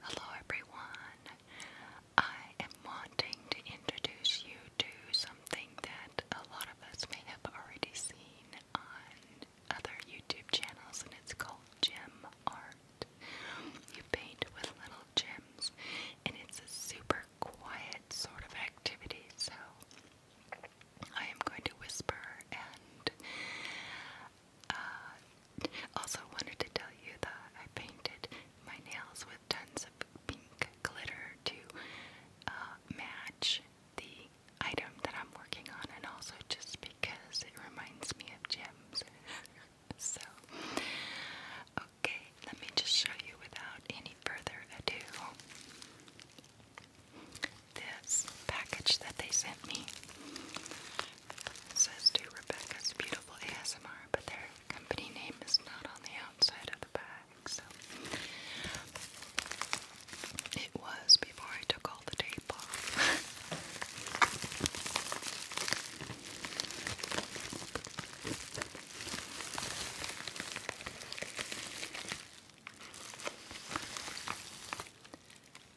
Hello, everyone. I am wanting to introduce you to something that a lot of us may have already seen on other YouTube channels, and it's called gem art. You paint with little little and it's a super quiet sort of activity. So I am going to whisper, and uh, also wanted to tell you that I painted my nails with tons of pink glitter to uh, match the item that I'm working on, and also just because it reminds me of gems. so, Okay, let me just show you without any further ado this package that they sent me. says to Rebecca's Beautiful ASMR, but their company name is not on the outside of the bag, so it was before I took all the tape off.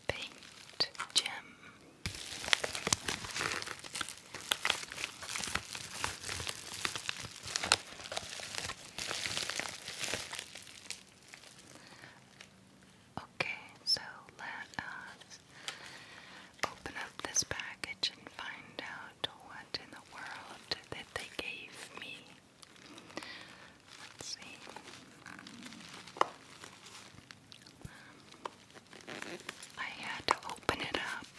Paint Gem. Okay, so let us open up this package and find out what in the world that they gave me. Let's see. I had to open it up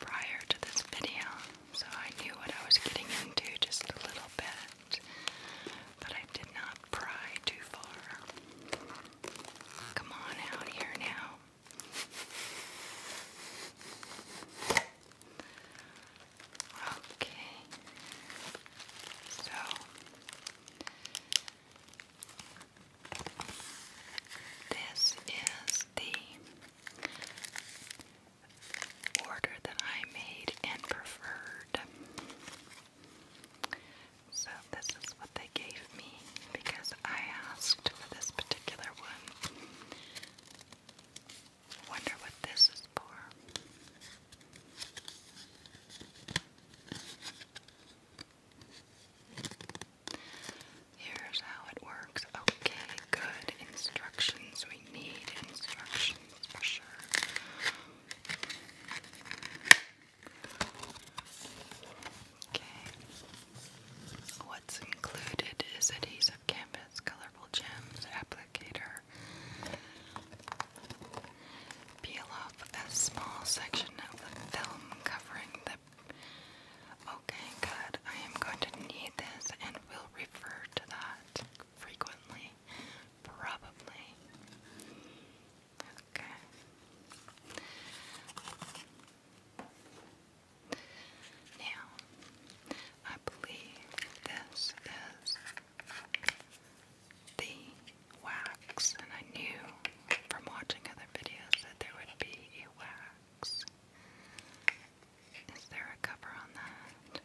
prior to this video, so I knew what I was getting into just a little bit, but I did not pry too far. Come on out here now. Okay. So this is the order that I made and preferred. So this is what they gave me because I asked for this particular one. Wonder what this is for. Here's how it works. Okay, good. Instructions. We need instructions for sure. Okay. What's included is adhesive canvas, colorful gems, applicator. Peel off a small section of the film covering the. Okay, good. I am going to need this and will refer to that frequently. Probably. Okay. Now, I believe this is the wax, and I knew from watching other videos that there would be a wax. Is there a cover on that?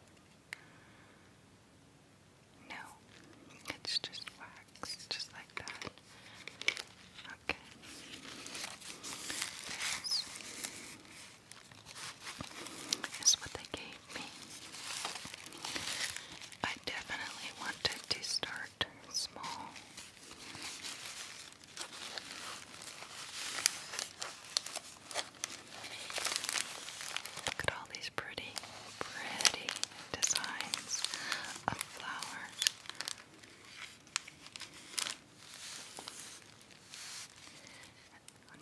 No, it's just wax just like that. Okay. This is what they gave me. I definitely wanted to start small. Look at all these pretty, pretty designs of flowers.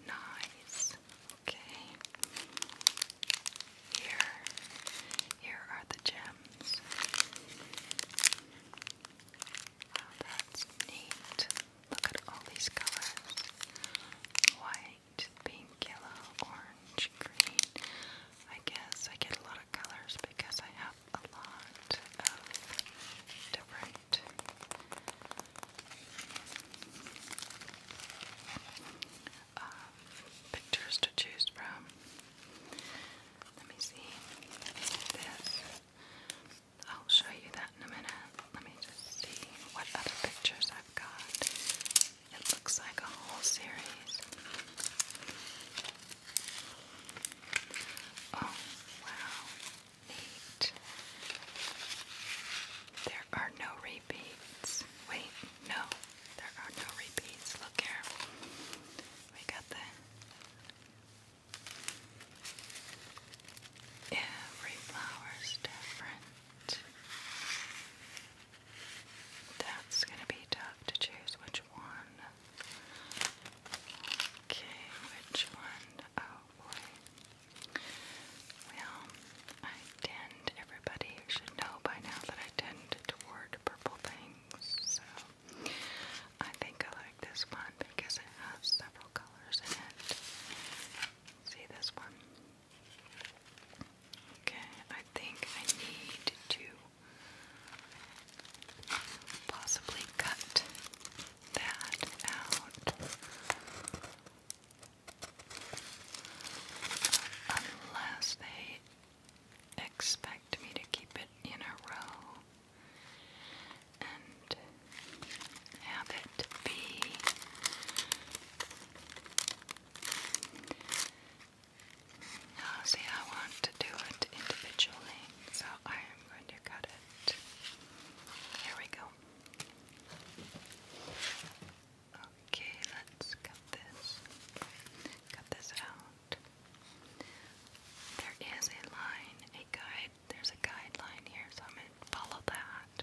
Nice. Okay. Here, here are the gems. Wow, oh, that's neat. Look at all these colors. White, pink, yellow, orange, green. I guess I get a lot watercolors because I have a lot of different um, pictures to choose from. Let me see this. I'll show you that in a minute. Let me just see what other pictures I've got. It looks like a whole series. Oh, wow. Neat. There are no repeats. Wait, no. There are no repeats. Look here. We got the Every flower's different. That's gonna be tough to choose which one. Okay, which one? Oh boy. Well, I tend, everybody should know by now that I tend toward purple things, so I think I like this one because it has several colors in it. See this one? Okay, I think I need to possibly cut that out. Unless they expect me to keep it in a row and have it be uh, see I want to do it individually, so I am going to cut it. Here we go. Okay, let's cut this. Cut this out. There is a line, a guide. There's a guideline here, so I'm going to follow that.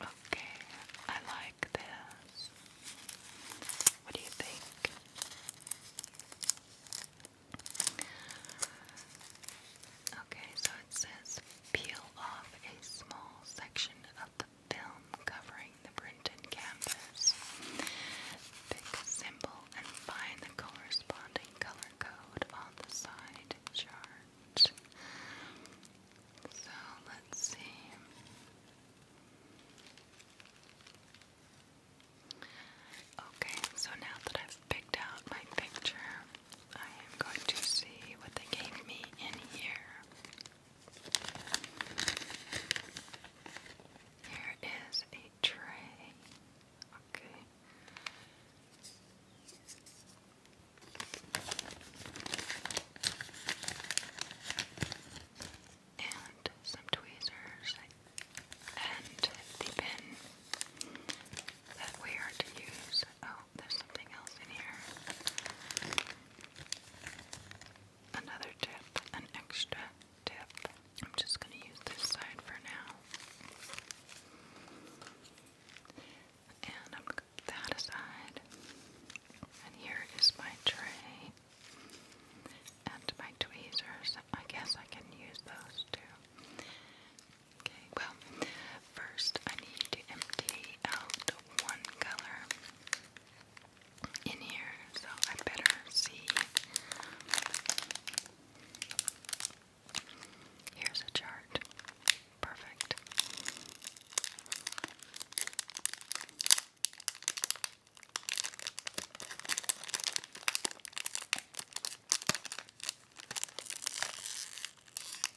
Okay, I like this. What do you think? Okay, so it says Peel off a small section of the film covering the printed canvas. Pick a symbol and find the corresponding color code on the side chart. So let's see. Okay, so now that I've picked out my picture, I am going to see what they gave me in here. Here is a tray. Okay. And some tweezers and the pin that we are to use Oh, there's something else in here. Another tip, an extra tip. I'm just going to use this side for now. And I'm that aside. And here is my tray and my tweezers. I guess I can use those too. Okay, well, first I need to empty out one color in here, so I better see. Here's a chart. Perfect.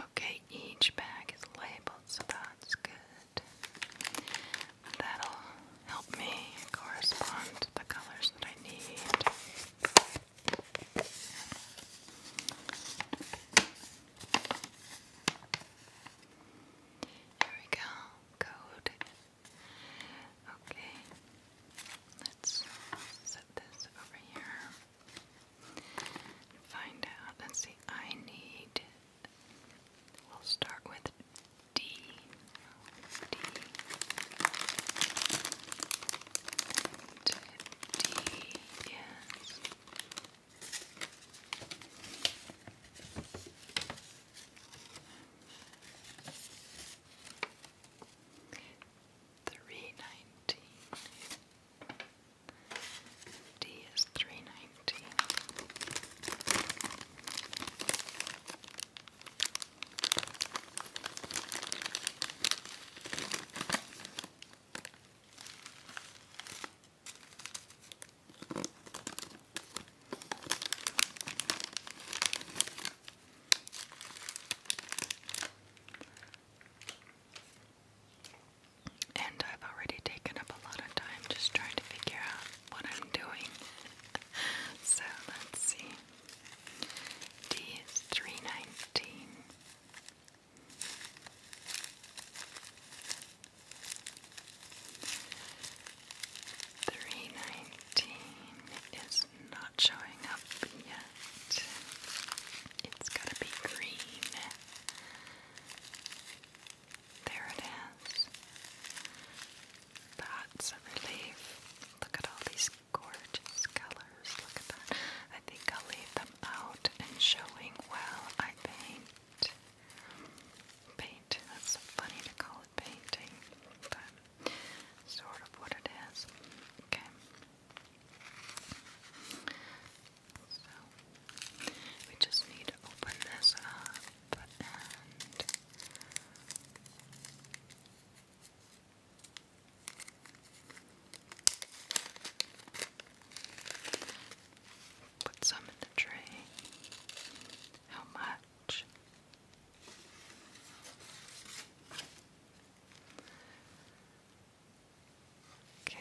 Okay, each bag is labeled, so that's good. that'll help me correspond the colors that I need. Here we go. Code. Okay. Let's set this over here. Find out. Let's see. I need. We'll start with D. D. D is three nineteen. D is three nineteen. And I've already taken up a lot of time just trying to figure out what I'm doing. so let's see. D is 319. Three nineteen is not showing up yet. It's to be green. There it is. That's a relief. Look at all these gorgeous colors. Look at that. I think I'll leave them out and showing while I paint. Paint. That's funny to call it painting, but sort of what it is. Okay. So we just need to open this up and Put some in the tray. How much? Okay.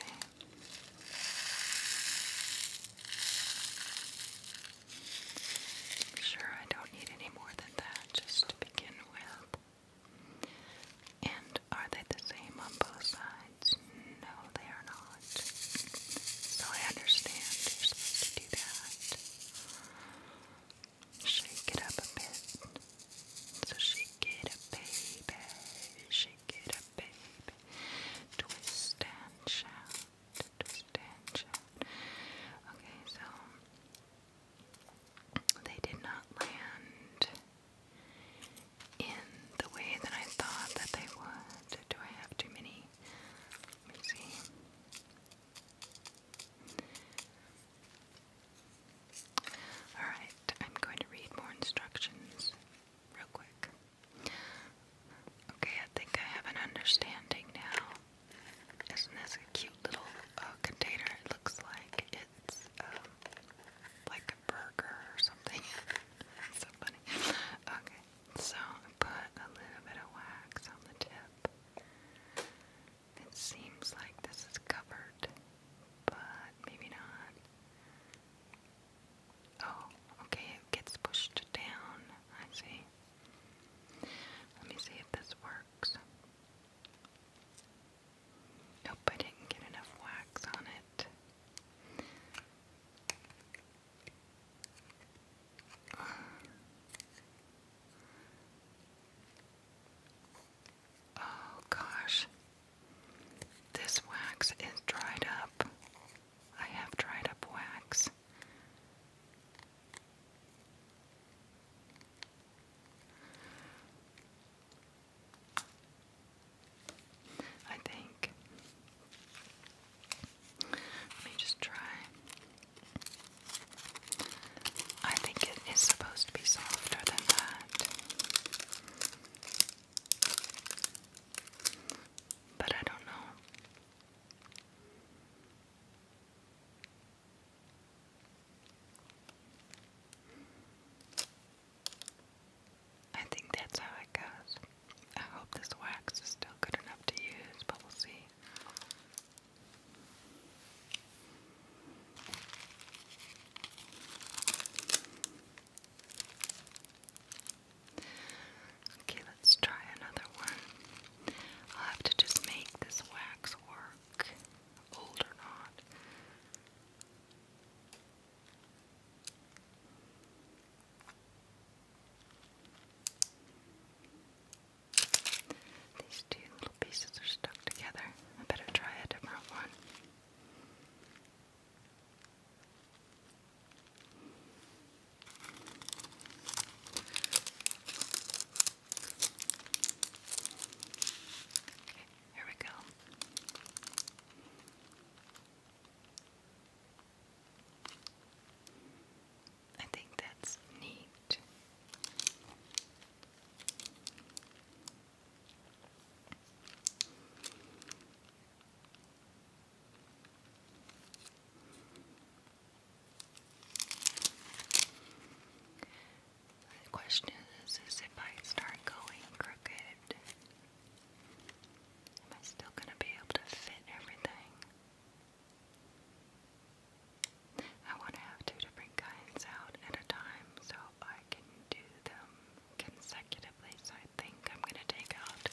sure I don't need any more than that just to begin with. And are they the same on both sides? No, they are not. So I understand you're supposed to do that. Shake it up a bit. So shake it up, baby. Shake it up, baby. Twist and shout. Twist and shout. Okay, so they did not land in the way that I thought that they would. Do I have too many? Let me see. Alright, I'm going to read more instructions real quick. Okay, I think I have an understanding now. Isn't this a cute little uh, container? It looks like it's um, like a burger or something. so funny. Okay, so put a little bit of wax on the tip. It seems like this is covered, but maybe not. Oh, okay, it gets pushed down. I see. Let me see if this works. Nope, I didn't get enough wax on it. Oh gosh. This wax is dried up. I have dried up wax. I think. Let me just try. I think it is supposed to be softer than that. But I don't know. I think that's how it goes. I hope this wax is still good enough to use, but we'll see. Okay, let's try another one. I'll have to just make this wax work, old or not. These two little pieces are stuck together. I better try a different one. Okay, here we go. I think that's neat. The question is, is if I start going crooked, am I still going to be able to fit everything? I want to have two different different kinds out at a time so I can do them consecutively. So I think I'm going to take out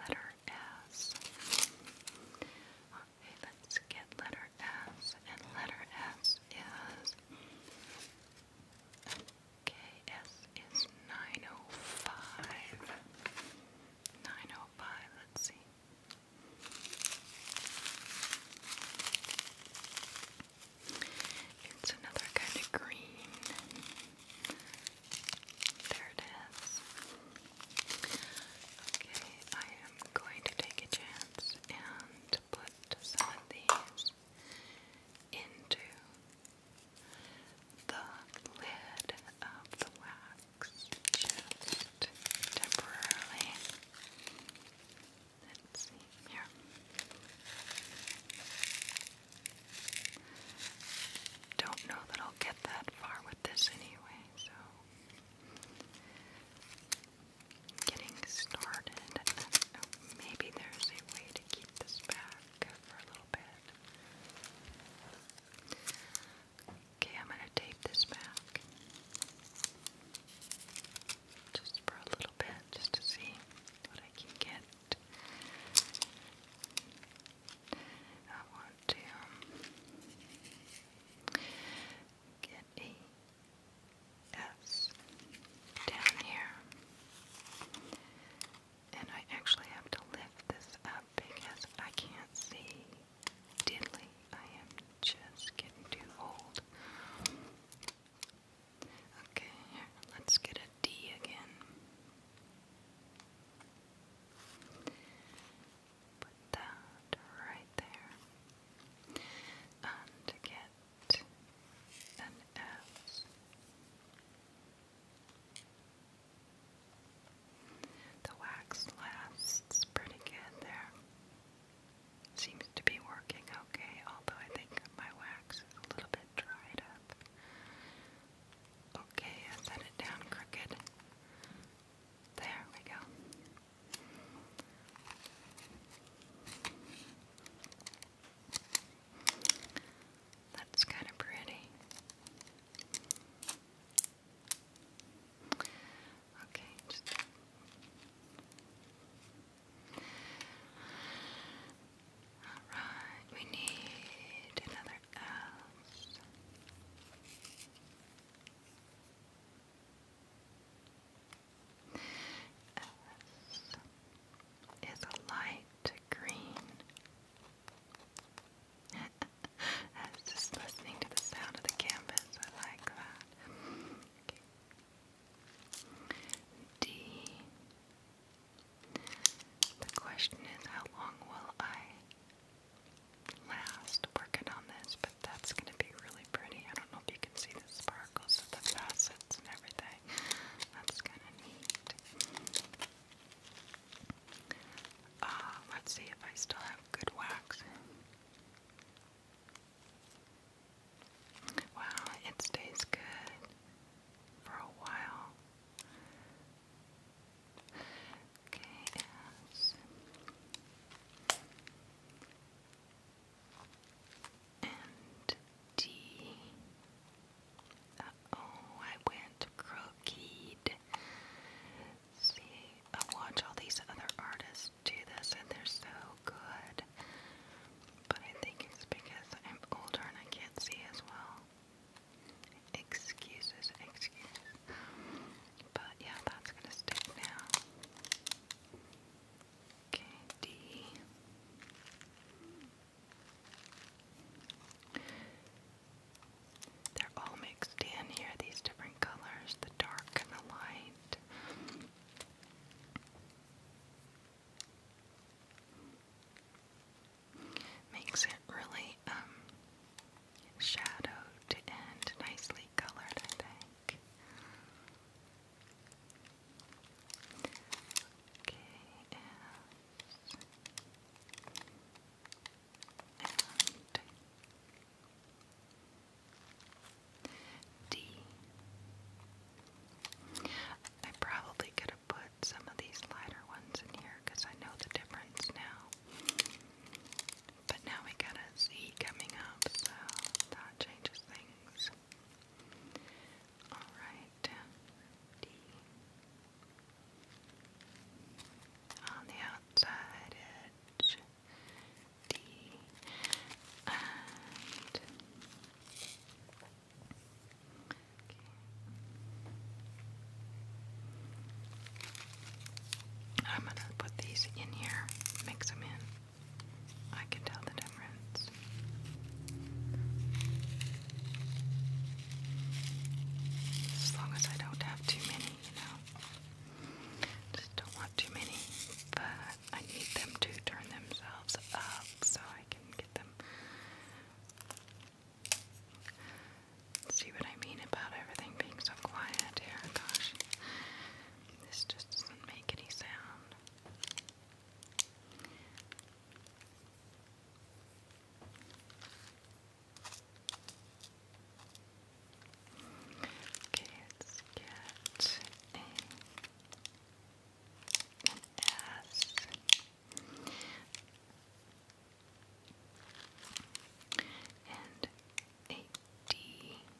letter S. Okay, let's get letter S. And letter S is. Okay, S is 905. 905, let's see. It's another kind of green. There it is. Okay, I am going to take a chance and put some of these into the lid of the wax just temporarily. Let's see here. Don't know that I'll get that far with this anyway, so getting started. Oh, maybe there's a way to keep this back for a little bit. Okay, I'm going to tape this back just for a little just to see what I can get. I want to um, get a S down here. And I actually have to lift this up because I can see diddly. I am just getting too old Okay, let's get a D again. Put that right there. And get an S. The wax lasts pretty good there. Seems to be working okay, although I think my wax is a little bit dried up. Okay, I set it down crooked. There we go. That's kind of pretty. Okay, Alright, we need another S. is light green. I was just listening to the sound of the canvas. I like that. D. The question is, how long will I last working on this? But that's going to be really pretty. I don't know if you can see the sparkles of the facets and everything. That's kind of neat. Uh, let's see if I still have good wax. Wow, it stays good for a while. Okay, oh, I went crooked. See, I watch all these other artists do this, and they're so good. But I think it's because I'm older and I can't see as well. Excuses, excuses. But yeah, that's gonna stick now. Okay, D. They're all mixed in here, these different colors, the dark and the light. Makes it really um, shadowed and nicely colored, I think. Okay, and D. I probably could have put some of these lighter ones in here because I know the difference now. But now we got a Z coming up, so that changes things. Alright, um, D. On the outside edge, D. I'm going to put these in here, mix them in. I can tell the difference. As long as I don't have too many, you know. Just don't want too many, but I need them to turn themselves up so I can get them. See what I mean about everything being so quiet here? Gosh, this just doesn't make any sound. Okay, get a as and a D and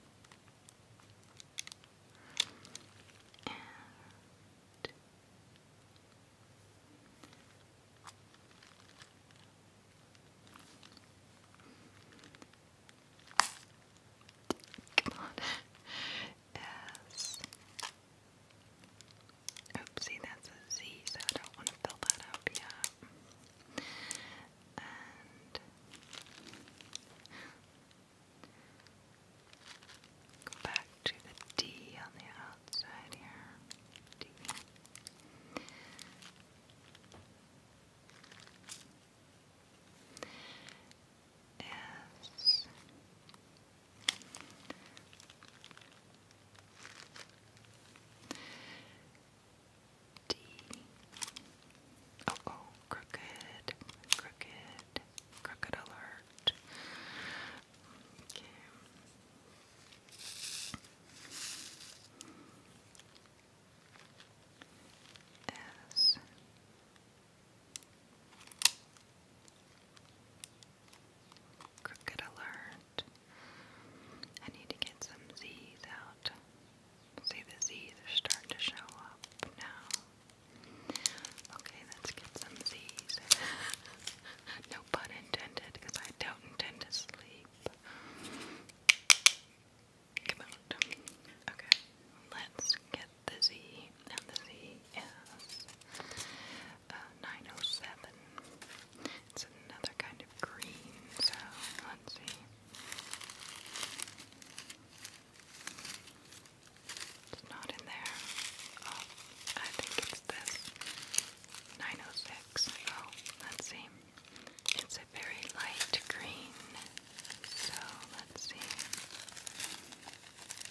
Come on as. Oopsie, that's a Z, so I don't want to fill that out yet. And go back to the D on the outside here. D is D oh oh crooked crooked crooked alert okay S Cricket alert. I need to get some Z's out. See, the Z's are starting to show up now. Okay, let's get some Z's. no pun intended, because I don't intend to sleep. Come out. Okay, let's get the Z, and the Z is uh, 907. It's another kind of green, so let's see. It's not in there. Oh, I think it's this. 906. Oh, let's see. It's a very light green. So let's see.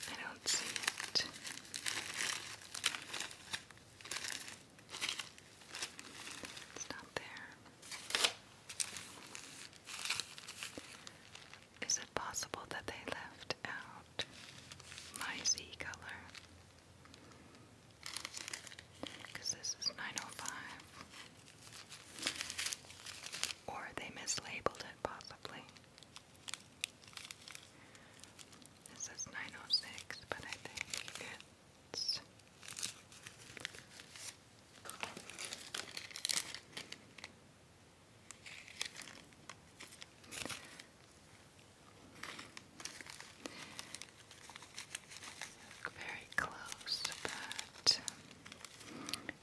I don't see it. It's not there. Is it possible that they left out my Z color? Because this is 905. Or they mislabeled it, possibly. This is 906, but I think it's very close, but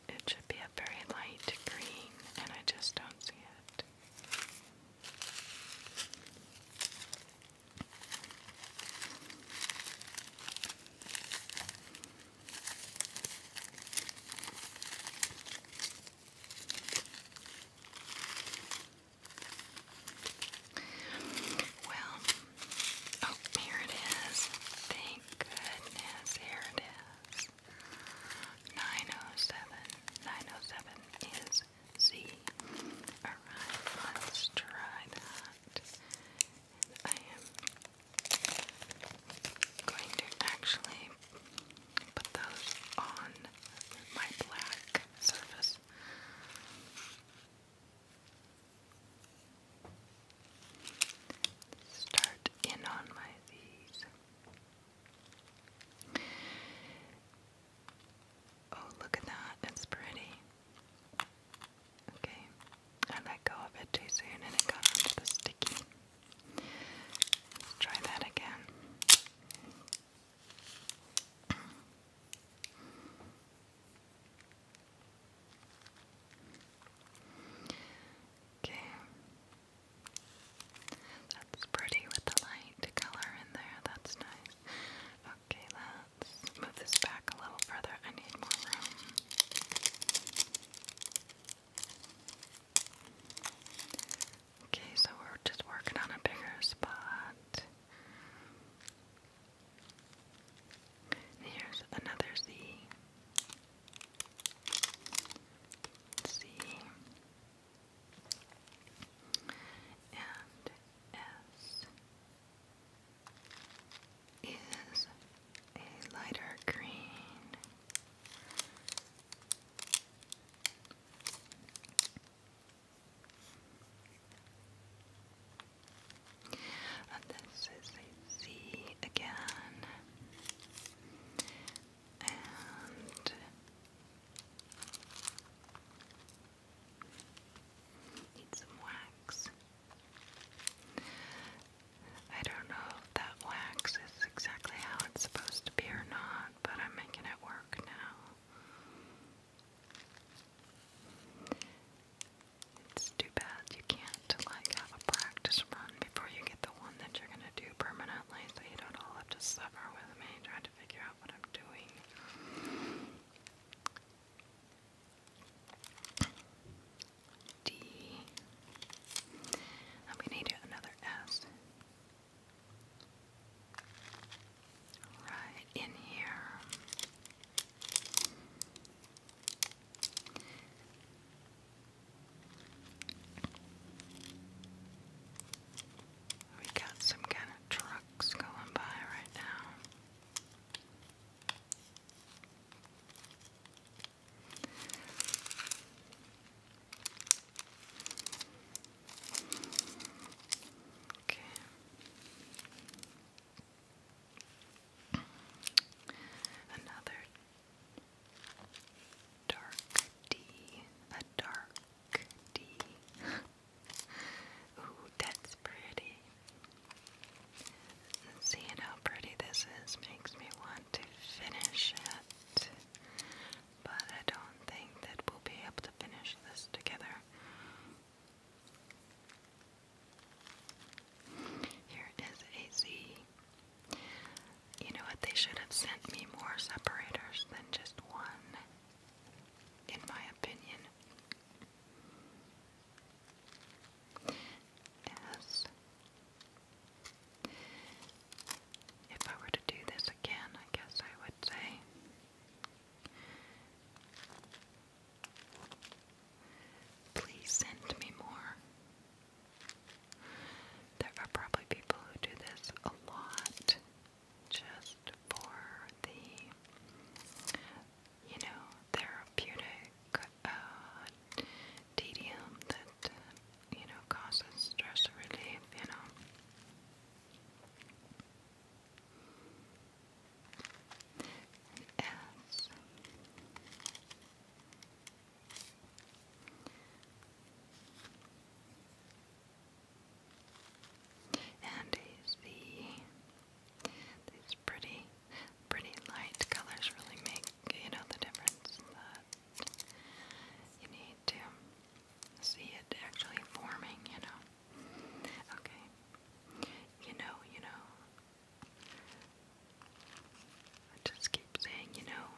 it should be a very light green, and I just don't see it. Well, oh, here it is. Thank goodness, here it is. 907. 907 is Z. Alright, let's try that. I am going to actually put those on my black surface. Start in on my V's. Oh, look at that. It's pretty. Okay. I let go of it too soon and it got onto the sticky. Let's try that again. Okay. That's pretty with the light color in there. That's nice. Okay, let's move this back a little further. I need more room. Okay, so we're just working on a bigger spot. Here's another Z. Z and S is a lighter green. And this is a Z again and need some wax. I don't know if that wax is exactly how it's supposed to be or not, but I'm making it work now. It's too bad you can't like have a practice run before you get the one that you're gonna to do permanently so you don't all have to suffer with me trying to figure out what I'm doing. D. I'm going need another S. Right in here. We got some kind of trucks going by right now. Okay. Another Dark D. A dark D. Ooh, that's pretty. Seeing how pretty this is makes me want to finish it. But I don't think that we'll be able to finish this together. Here is a Z. You know what? They should have sent me more separators than just one, in my opinion. Yes. If I were to do this again, I guess I would say. Please send me more. There are probably people who do this a lot just for the, you know, therapeutic uh, tedium that, you know, causes stress relief, you know. And is these pretty pretty light colors really make you know the difference that you need to see it actually forming, you know. Okay. You know, you know. just keep saying, you know,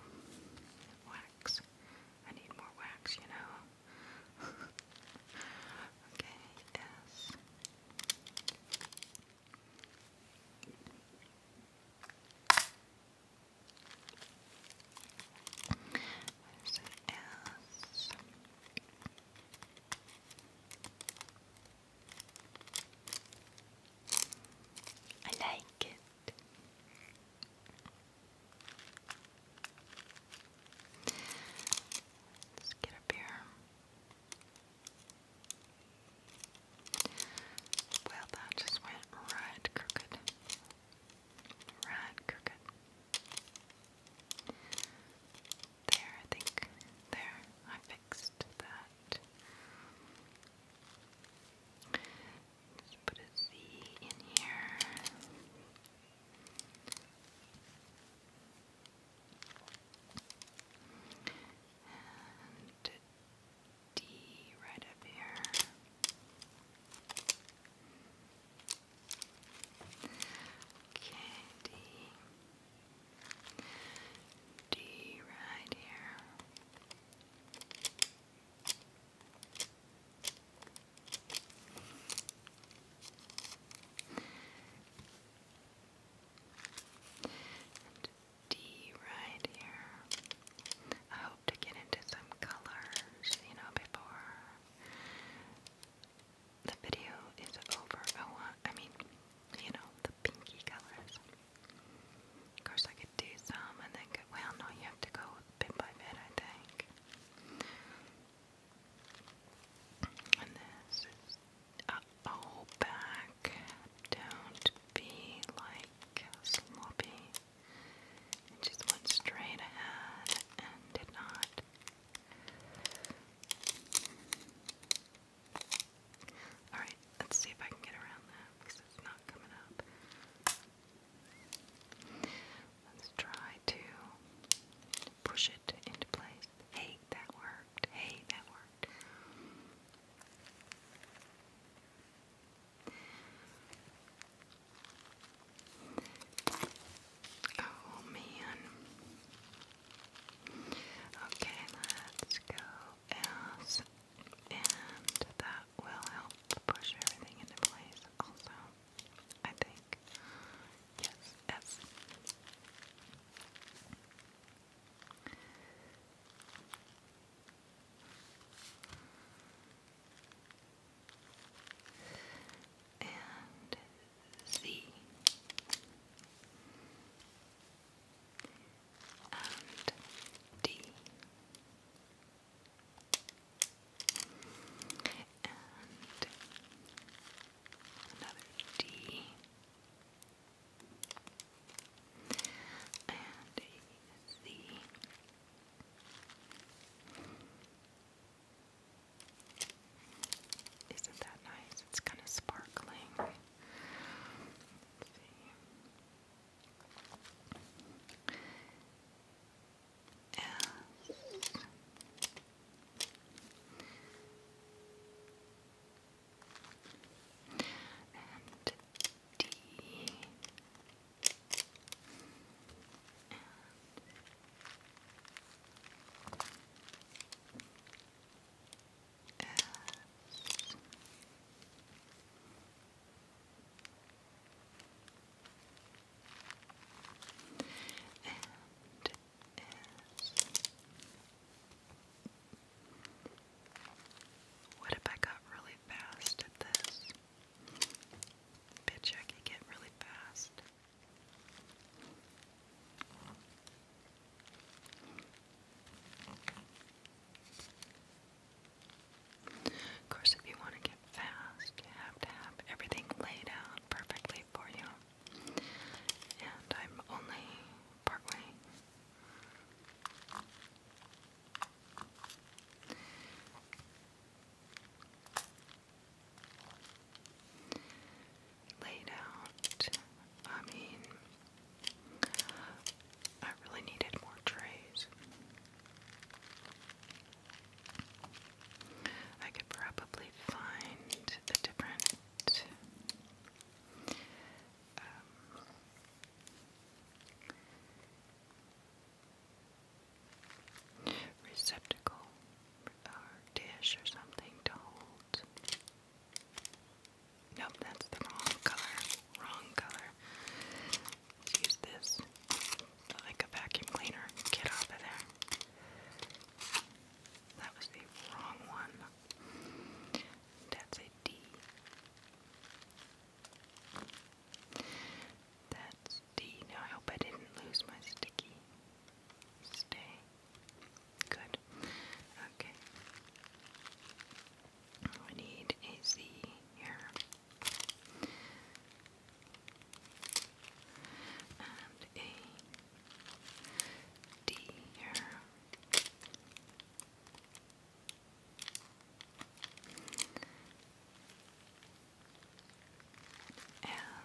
wax I need more wax, you know. okay, yes. There's an S. I like it. Let's get up here. Well, that just went right crooked. Right crooked. There, I think. There, I fixed that. Let's put a Z in here. And D right up here. Okay, D. D right here. And D right here. I hope to get into some colors, you know, before the video is over. I want, I mean, you know, the pinky colors. Of course, I do some and then go, well, no, you have to go bit by bit, I think. And this is, uh, oh, back. Don't be like sloppy. just went straight ahead and did not. Alright, let's see if I can get around that because it's not coming up. Let's try to push it into place. Hey, that worked. Hey, that worked. Oh man. Okay, let's go else. And that will help push everything into place also. I think. Yes, S. And Z. And D another D, and a C. Isn't that nice? It's kind of sparkling. Let's see and and D and S and is what if I got really fast at this? Bitch, I could get really fast. Of course, if you want to get fast, you have to have everything laid out perfectly for you. And I'm only partway. Laid out. I mean, I really needed more trays. I could probably find a different um, receptacle or dish or something to hold. Nope, that's the wrong color. Wrong color. Let's use this like a vacuum cleaner. Get off of there. That was the wrong one. That's a D. That's D. Now I hope I didn't lose my sticky. Stay. Good. Okay. We need a Z here and a D here.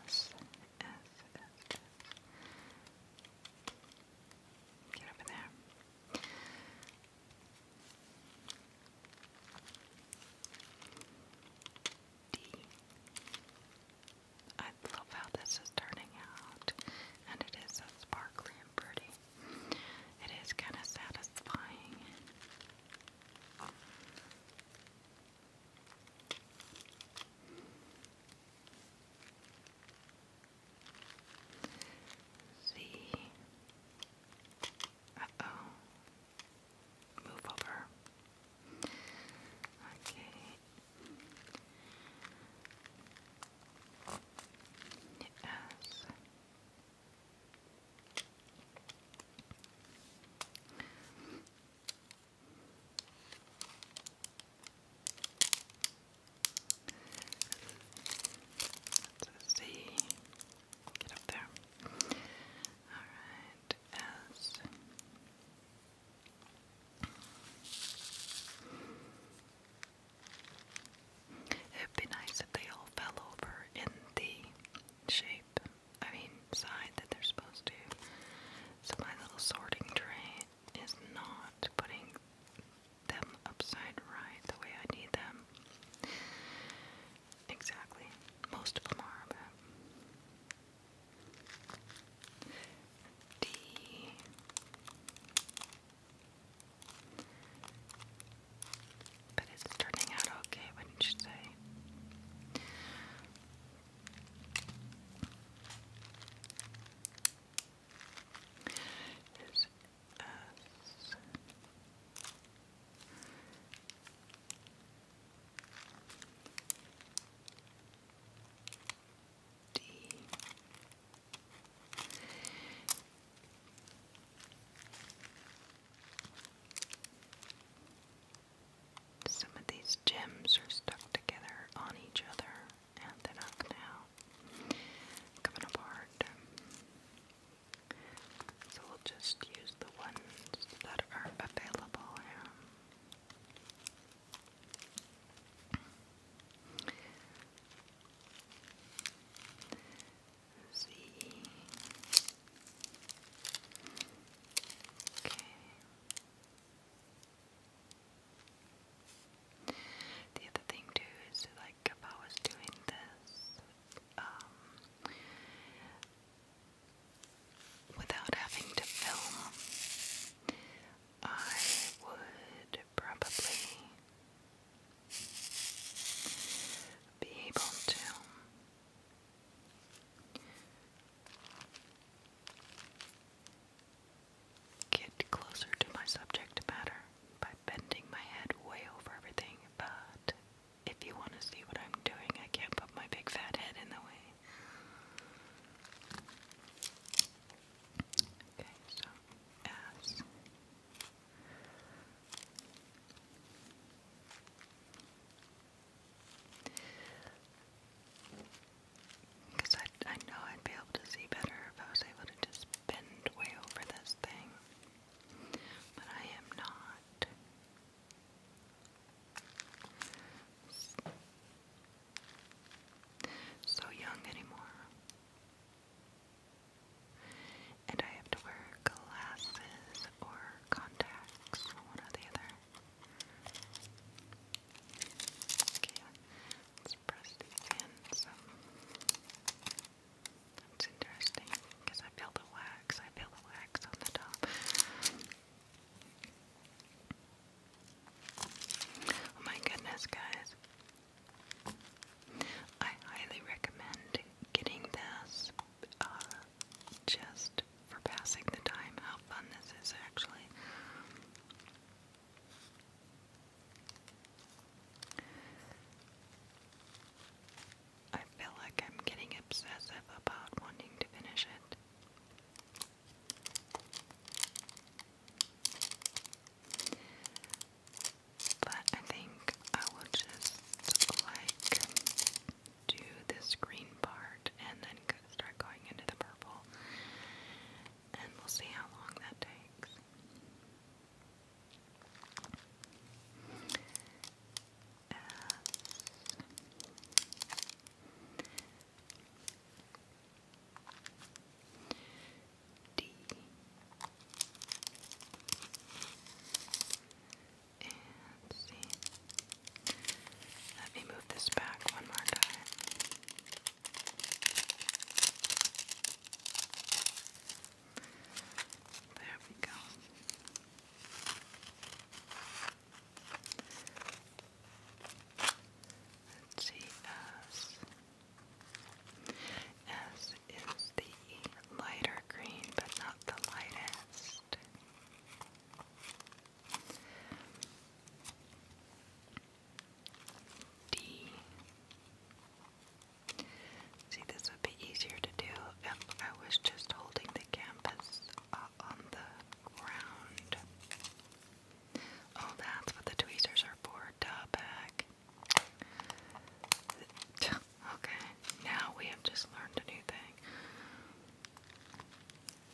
S, S, Get over there. D. I love how this is turning out, and it is so sparkly and pretty. It is kind of satisfying. Z uh-oh. Move over. Okay. Yes. Let's see. Get up there. Alright, It'd be nice if they all fell over in the shape, I mean, side that they're supposed to. So my little sorting tray is not putting them upside right the way I need them. Exactly. Most of them are, but. D. But it's turning out okay, wouldn't you say? There's S some of these gems are stuck together on each other and they're not coming coming apart. So we'll just use the one that are available here. see. Okay. The other thing too is like if I was doing this, um, without having to film, I would probably be able to get closer to my subject matter by bending my head way over everything, but if you want to see what I'm doing, I can't put my big fat head in the way. Okay, so ass. Because I, I know I'd be able to see better if I was able to just bend way over this thing. But I am not so young anymore. And I have to wear glasses or contacts, one or the other. Okay, let's press these in some. That's interesting because I feel the wax. I feel the wax on the top. Oh my goodness, guys. I highly recommend getting this uh, just for passing the time. How fun this is, actually. I feel like I'm getting obsessive about wanting to finish it. But I think I will just like do this green part and then start going into the purple. And we'll see how long that takes. Uh, D and C. Let me move this back one more time. There we go. Let's is the lighter green, but not the lightest. D. See, this would be easier to do if I was just holding the canvas uh, on the round. Oh, that's what the tweezers are for. back. Okay, now we have just learned a new thing.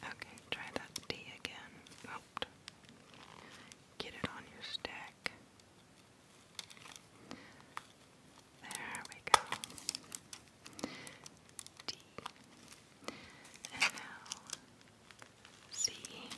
Okay, try that D again. Oh. Get it on your stick. There we go. D and now C. S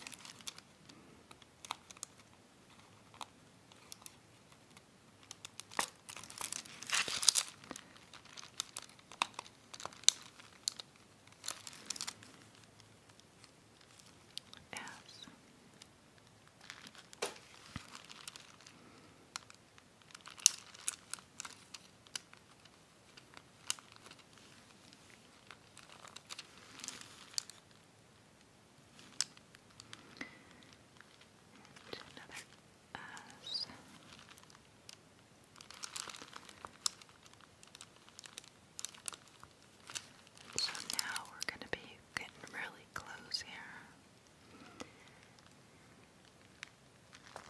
another S. So now we're going to be getting really close here as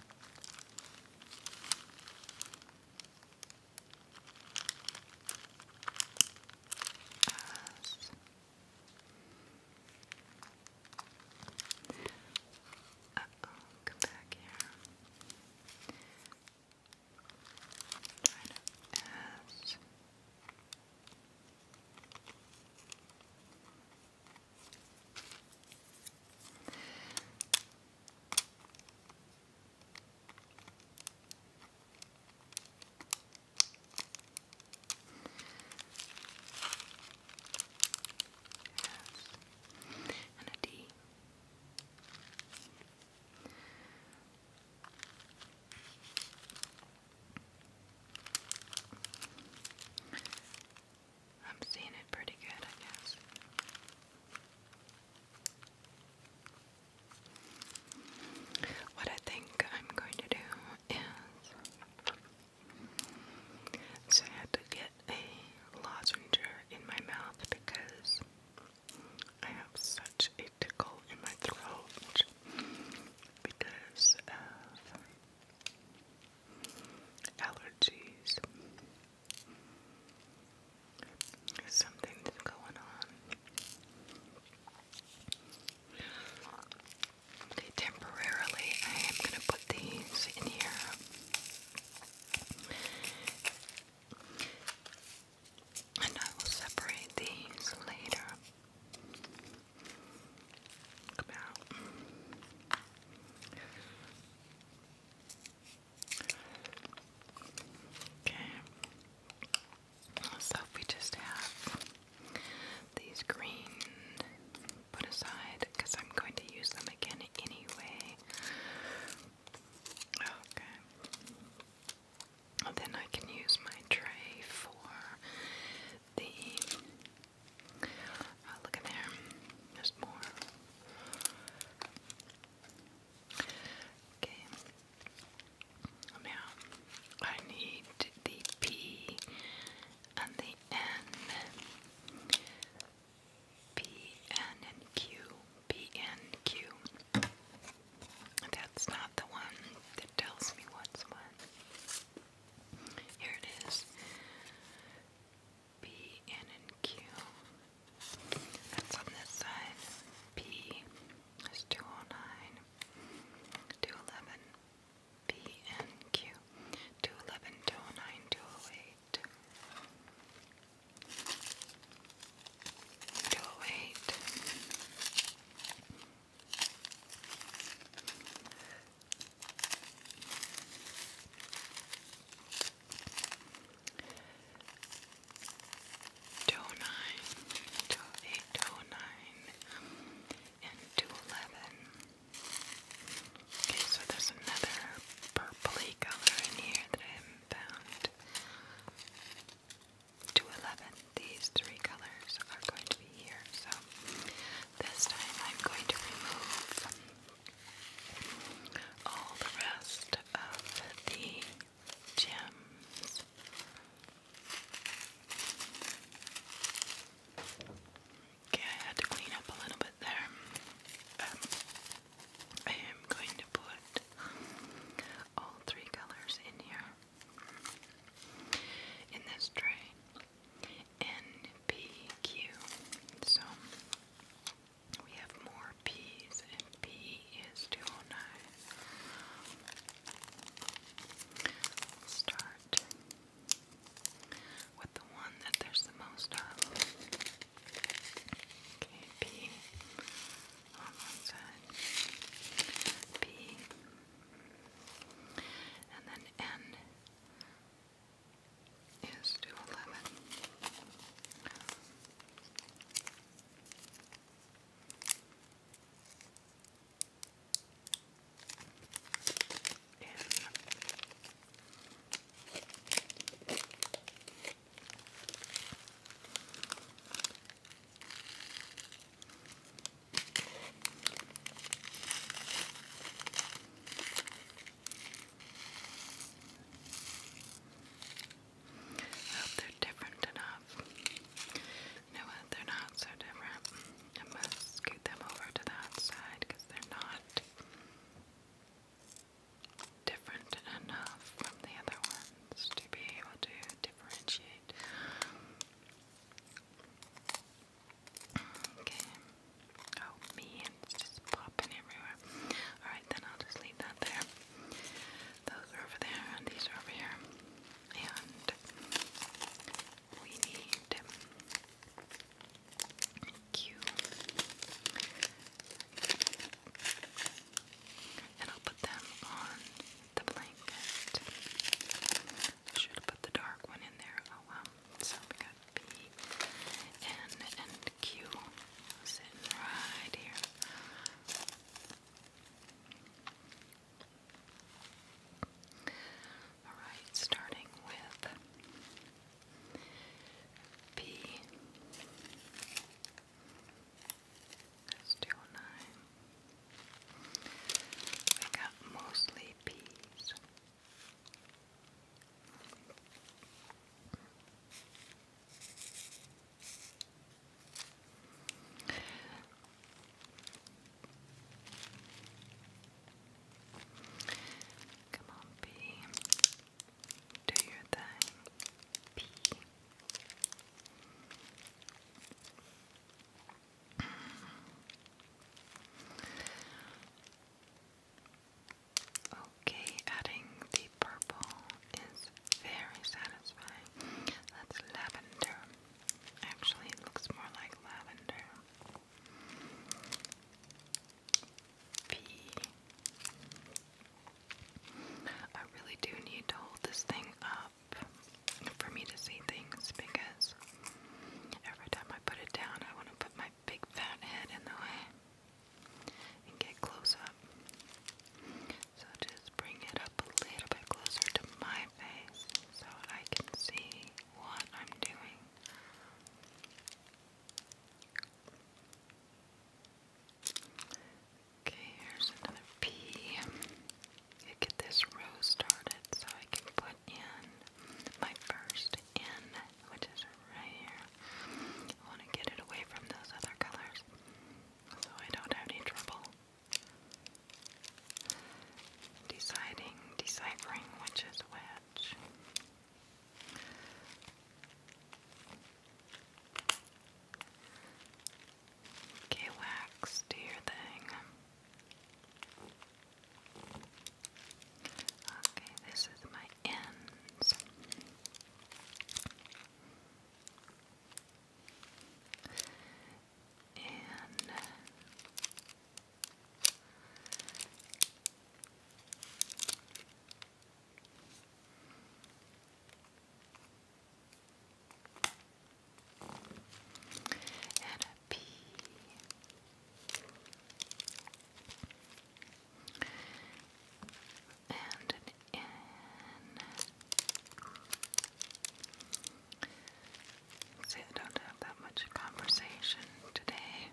uh come back here. Trying to as Yes. And a D. I'm seeing it pretty good, I guess. What I think I'm going to do is. So I had to get a lozenge in my mouth because I have such a tickle in my throat because of allergies. Something's going on. Okay, temporarily I am going to put these in here. And I will separate these later. Come out. Okay. So we just have these green put aside because I'm going to use them again anyway. Okay. then I can use my tray for the Oh, look in there. There's more. Okay. Oh, now, I need the P and the N. P, N, and Q. P, N, Q. That's not the one that tells me what's what. Here it is. P, N, and Q. That's on this side. P is 209, 211, P, N, Q. 211, 209, 208. 208. 209, and 211. Okay, so there's another purpley color in here that I haven't found. 211, these three colors are going to be here, so this time I'm going to remove all the rest of the gems. Okay, I had to clean up a little bit there. Um, I am going to put all three colors in here in this tray. N P Q. So we have more P's, and P is 209. start with the one that there's the most of. Okay, P on one P, and then N is 211. And I hope they're different enough. You know what? Uh, they're not so different. I must scoot them over to that side because they're not different enough from the other ones to be able to differentiate. Okay. Oh, me, just popping everywhere. Alright, then I'll just leave that there. Those are over there, and these are over here. And we need Q. And I'll put them on the blanket. I should have put the dark one in there. Oh well, so we got P, N, and Q sitting right here. Alright, starting with P. That's 209. We got mostly peas. Come on, B. Do your thing. B. Okay, adding the purple is very satisfying. That's lavender. Actually, looks more like lavender. P. I really do need to hold this thing up for me to see things because every time I put it down, I want to put my big fat head in the way and get close up. So just bring it up a little bit closer to my face so I can see what I'm doing. Okay, here's another pea. I get this row started so I can put in my first N which is right here. I want to get it away from those other colors so I don't have any trouble deciding, deciphering which is which. Okay, wax, do your thing. Okay, this is my ends. And and a P. See, I don't have that much conversation today.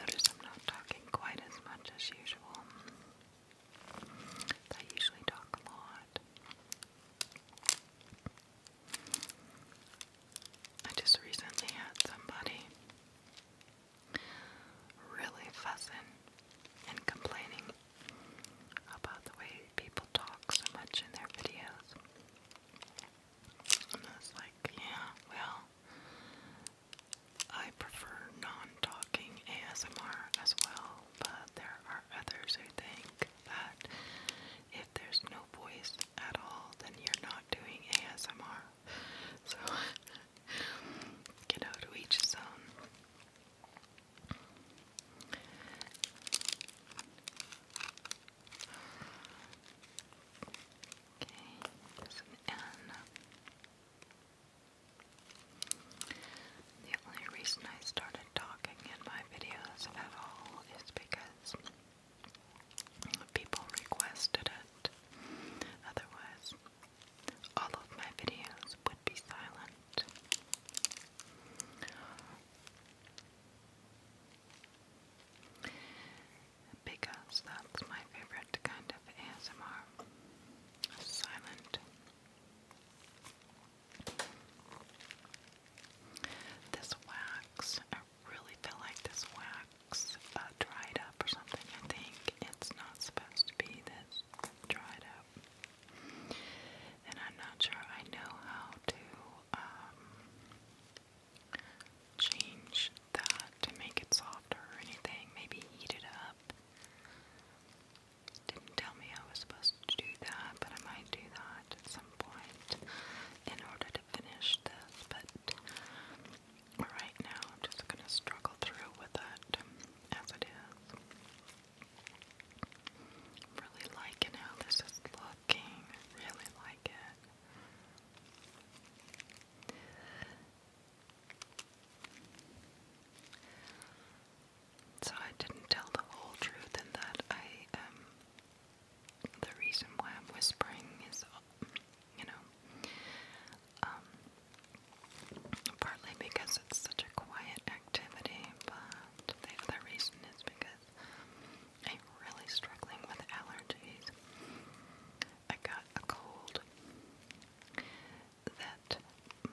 Notice I'm not talking quite as much as usual. I usually talk a lot. I just recently had somebody really fussing and complaining about the way people talk so much in their videos. And I was like, yeah, well, I prefer non talking ASMR as well, but there are others who think that if there's no voice at all, then you're not doing ASMR so you know to each his okay there's an the only reason I started talking in my videos at all is because People requested it. Otherwise, all of my videos would be silent. Because that's my favorite kind of ASMR. Silent. This wax, really feel like this wax uh, dried up or something. I think it's not supposed to be this dried up. And I'm not sure I know how to um, change that to make it softer or anything. Maybe heat it up. Didn't tell me I was supposed to do that, but I might do that at some point in order to finish this. But Right now, I'm just going to struggle through with it as it is. Really liking how this is looking. Really like it. So I didn't tell the whole truth in that I um, the reason why I'm whispering is you know um, partly because it's such a quiet activity, but the other reason is because I'm really struggling with allergies. I got a cold that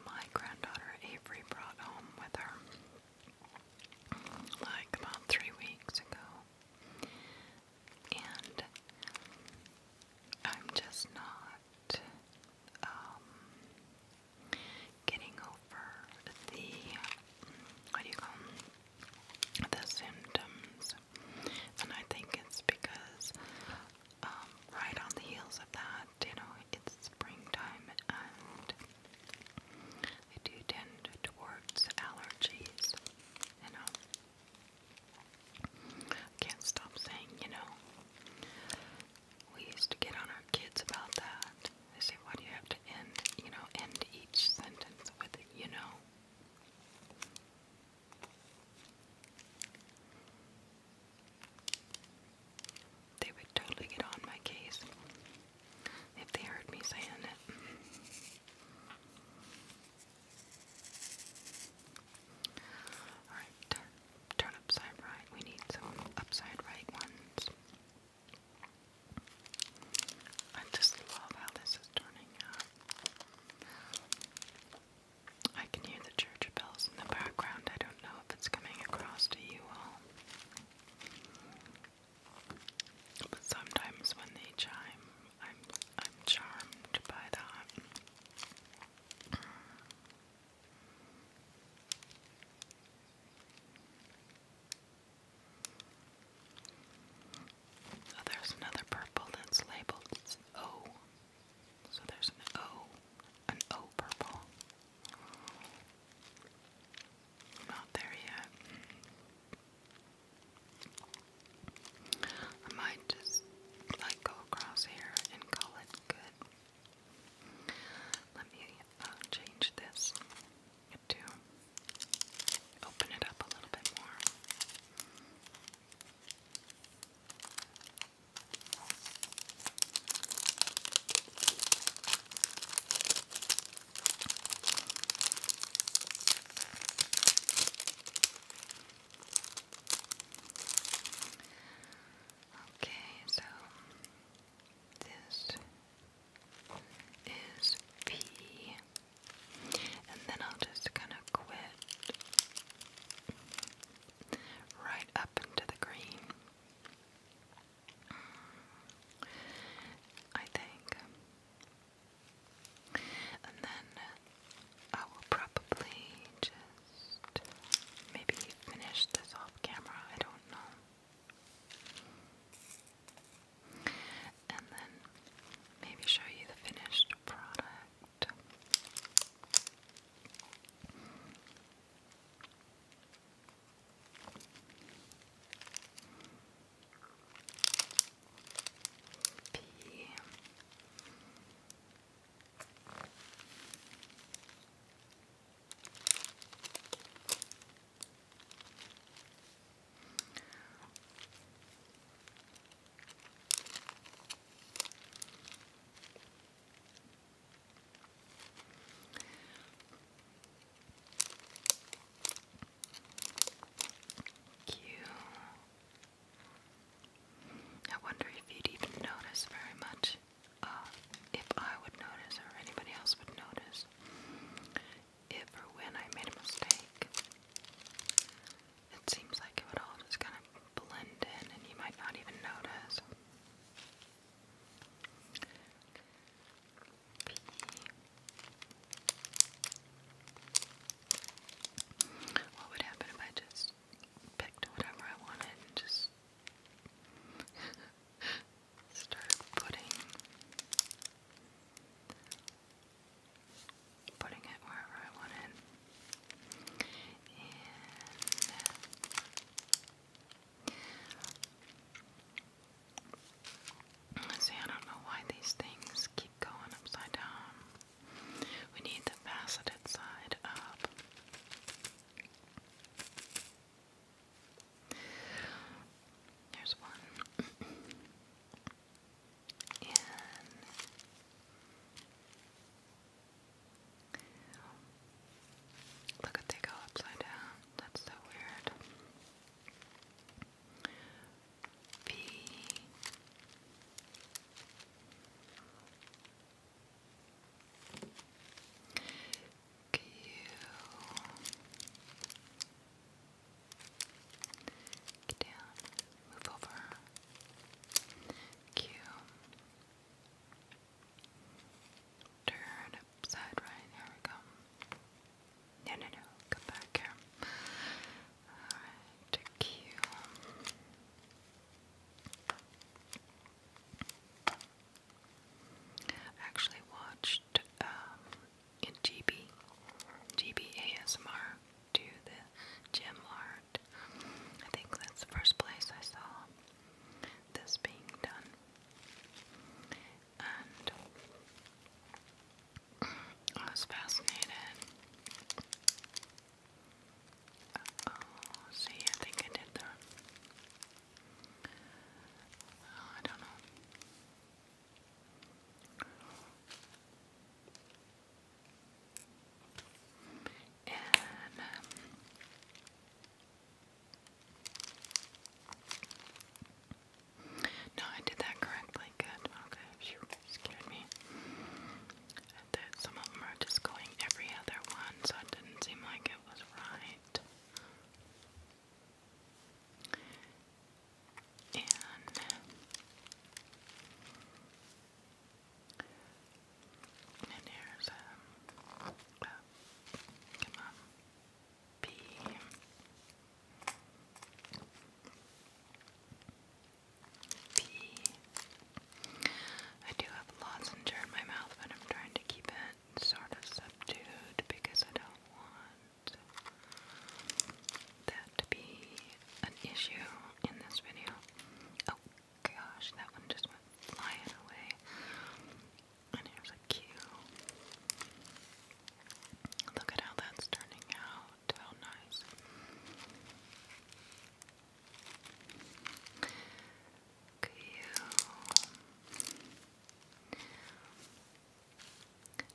my granddaughter Avery brought home with her like about three weeks ago and I'm just not um, getting over the what do you call them? the symptoms, and I think it's because um, right on the heels of that, you know, it's springtime and. I do tend towards allergies, you um, know. I can't stop saying, you know, we used to get on our kids about that. They say, why do you have to end, you know, end each sentence with know? They would totally get on my case if they heard me saying it. Alright, turn, upside right. We need some upside right ones. I just love how this is turning out. I can hear the church bells in the background. I don't know if it's coming across to you all. But sometimes when they chime, I'm I'm charmed by that. So there's another purple that's labeled O. So there's an O, an O purple. Not there yet. I might just like go across here and call it good. Let me uh, change this to open it up a little bit more. Okay, so this is P, and then I'll just kind of quit right up into the green. I think. And then I will probably just maybe finish this off camera, I don't know. And then maybe show you the finished product. P. Q I wonder if you'd even notice very much. Uh, if I would notice or anybody else would notice. If or when I made a mistake. It seems like it would all just kind of blend in and you might not even notice. What would happen if I just picked whatever I wanted and just started putting putting it wherever I wanted. And uh, see, I don't know why these things keep going upside down. We need the faceted side up. There's one. and look at they go upside down. That's so weird. B Q Get down, move over. Q Turn upside right, here we go. No, no, no, come back here. Alright, I actually watched um, do the gem art. I think that's the first place I saw this being done. And I was fascinated uh oh, see, I think I did that. Oh, I don't know. And um, no, I did that correctly. Good. Okay. Shoot scared me. And that some of them are just going every other one, so it didn't seem like it was right. And and here's a, um, a uh, come on, B. P. I do have lozenger in my mouth, but I'm trying to keep it sort of subdued because I don't want that to be an issue in this video. Oh gosh, that one just went flying away. And here's a Q. Look at how that's turning out. How nice. Q.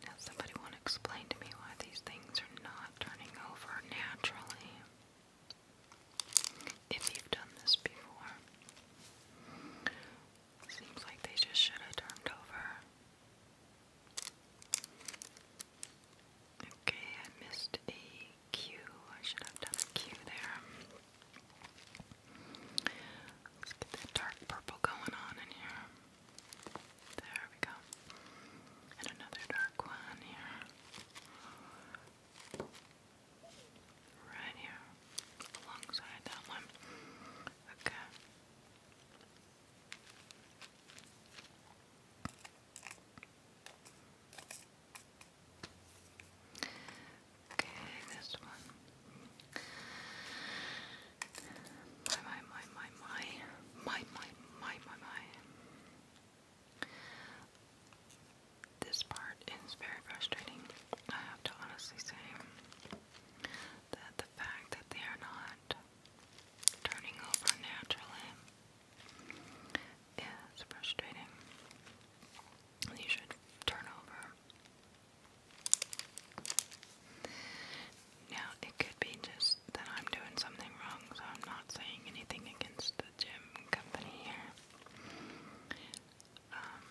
Now, somebody want to explain to me why these things are not turning over naturally. If you've done this before, seems like they just should have turned over. Okay, I missed a Q. I should have done a Q there. Let's get that dark purple going on in here. There we go. And another dark one here. Right here. Alongside that one. Okay. Okay, this one. My, my, my, my, my, my, my, my, my, my. This part is very frustrating. I have to honestly say that the fact that they are not turning over naturally yeah, it's frustrating. You should turn over. Now, it could be just that I'm doing something wrong, so I'm not saying anything against the gym company here. Um,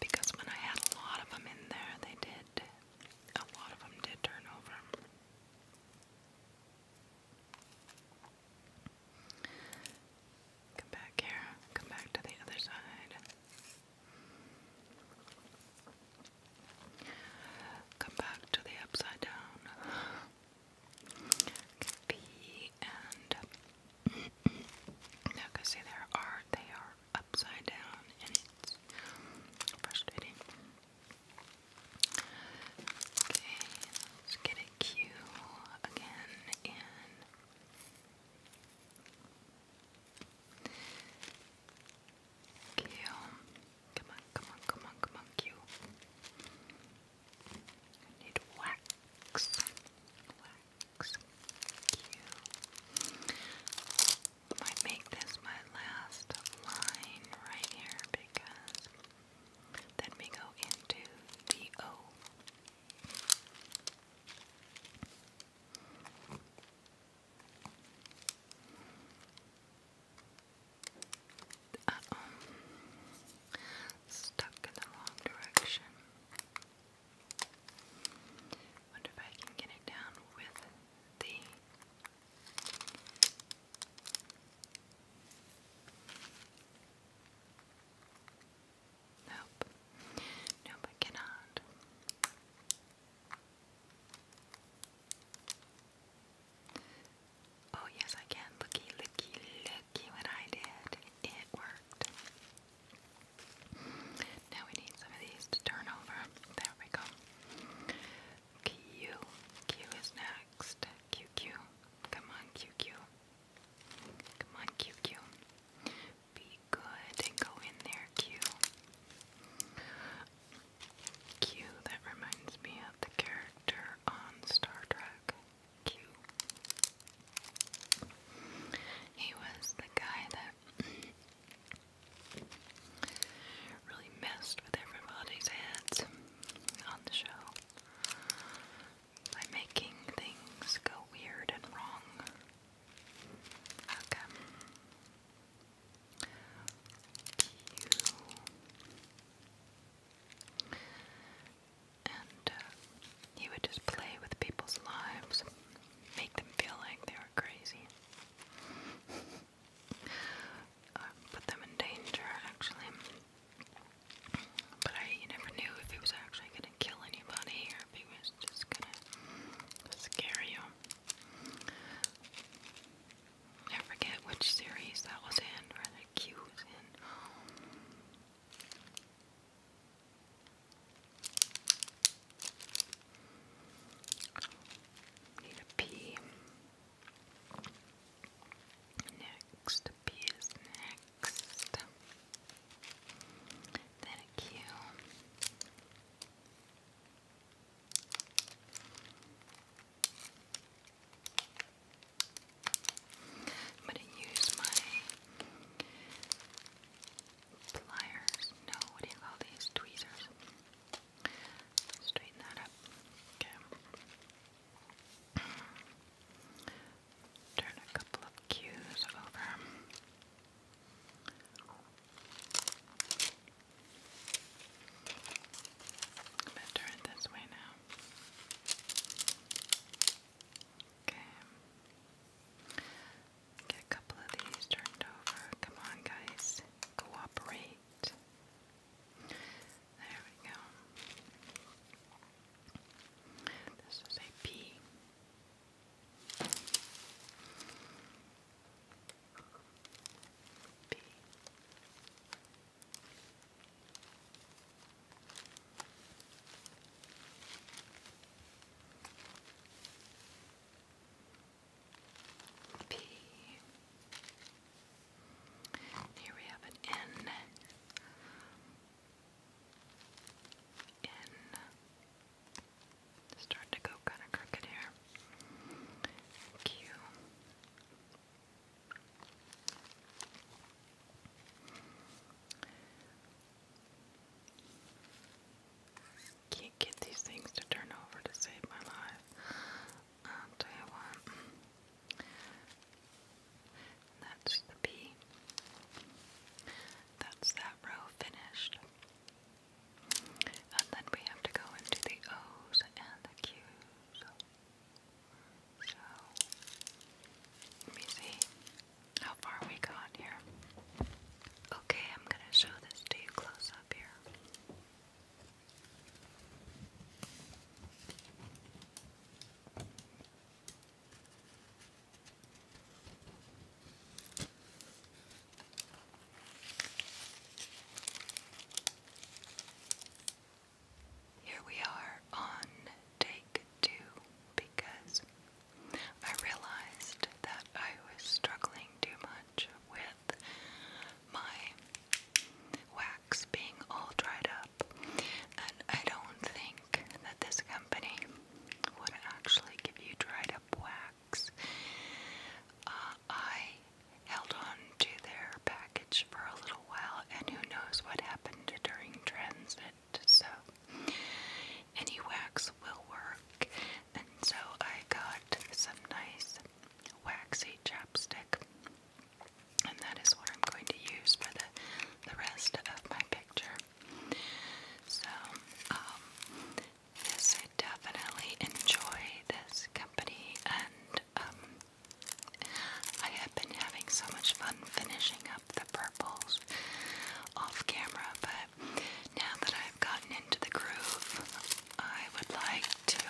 because when I had a lot of them in there, they did, a lot of them did turn over. Come back here. Come back to the other side. Come back to the upside down. B and now can see there are they are upside down and it's frustrating. Okay, let's get a Q again and Come on, come on, come on, come on, Q. I need wax. Wax. Q. I might make this my last line right here because then we go into the O. Stuck in the wrong direction. Wonder if I can get it down with the Nope. Nope, I cannot. Oh, yes, I can. Looky, looky, looky what I did. It worked. Now we need some of these turn over. There we go. Q. Q is now next. Come on, QQ. Come on, QQ. Be good and go in there, Q. Q, that reminds me of the character on Star Trek. Q. He was the guy that really messed with everybody's heads on the show by making things go weird and wrong. and uh, he would just play with people's lives, make them feel like they were crazy. Uh, put them in danger, actually. But I you never knew if he was actually gonna kill anybody or if he was just gonna scare you. I forget which series that was in, or that Q was in. Need a pee. Next. P is next. Then a Q. I'm gonna use my pliers. No, what do you call these? Tweezers. Straighten that up. Okay. Turn a couple of cues over. I'm going to turn it this way now. Okay. Get a couple of these turned over. Come on, guys. Cooperate. There we go. This is a P. P. P. P. Here we have an N. N. Starting to go kind of crooked here. Q. Can't get these things to turn over to save my life. i you what. That's the B. That's that row finished. And then we have to go into the O's and the Q's. So, let me see how far we got here. Okay, I'm going to show this to you close up here. Here we are on take two because I realized that I was struggling too much with my wax being all dried up. And I don't think that this company would actually give you dried up wax. Uh, I held on to their package for a little while, and who knows what happened during transit. So, any wax will work. And so, I got some nice waxy chapstick and that is what I'm going to use for the, the rest of my picture. So, um, yes, I definitely enjoy this company, and um, I have been having so much fun finishing up the purples off camera, but now that I've gotten into the groove, I would like to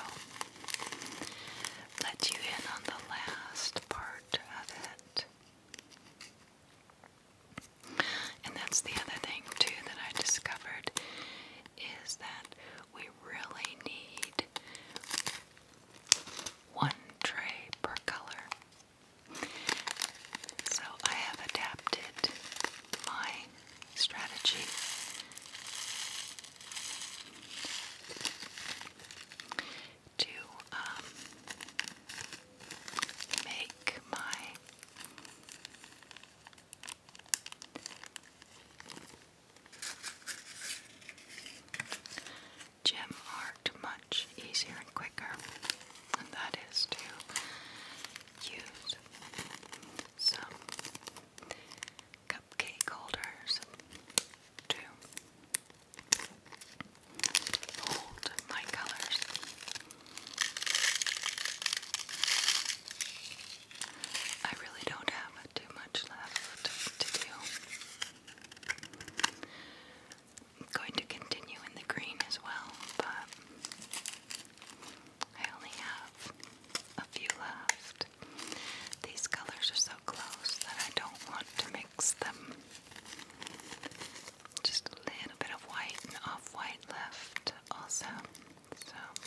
let you in on the last part of it. And that's the other thing, too, that I discovered is that we really need one tray per color. So I have adapted my strategy to um, make my gem art much easier and quicker, and that is to use some cupcake holders to hold my colors. I really don't have too much left to do. I'm going to continue in the green as well, but I only have a few left. These colors are so close that I don't want to mix them. Just a little bit of white and off white left, also. So.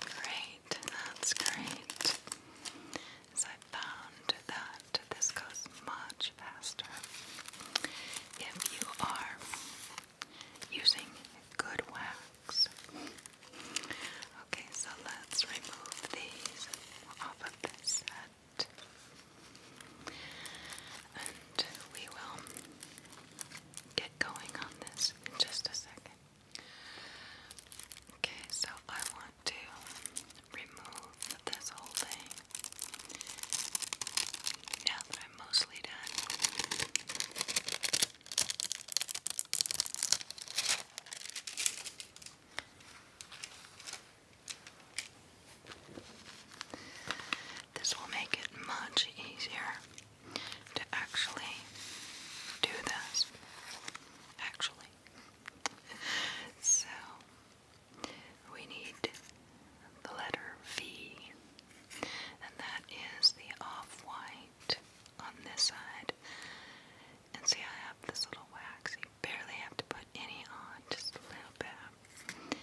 Great, that's great. So I found that this goes much faster. If you are using good wax. Okay, so let's remove these off of this set. And we will get going on this in just a second. Okay, so I want to remove this whole thing. Now that I'm mostly done, this will make it much easier to actually do this. Actually. so, we need the letter V, and that is the off white on this side. And see, I have this little wax. barely have to put any on, just a little bit.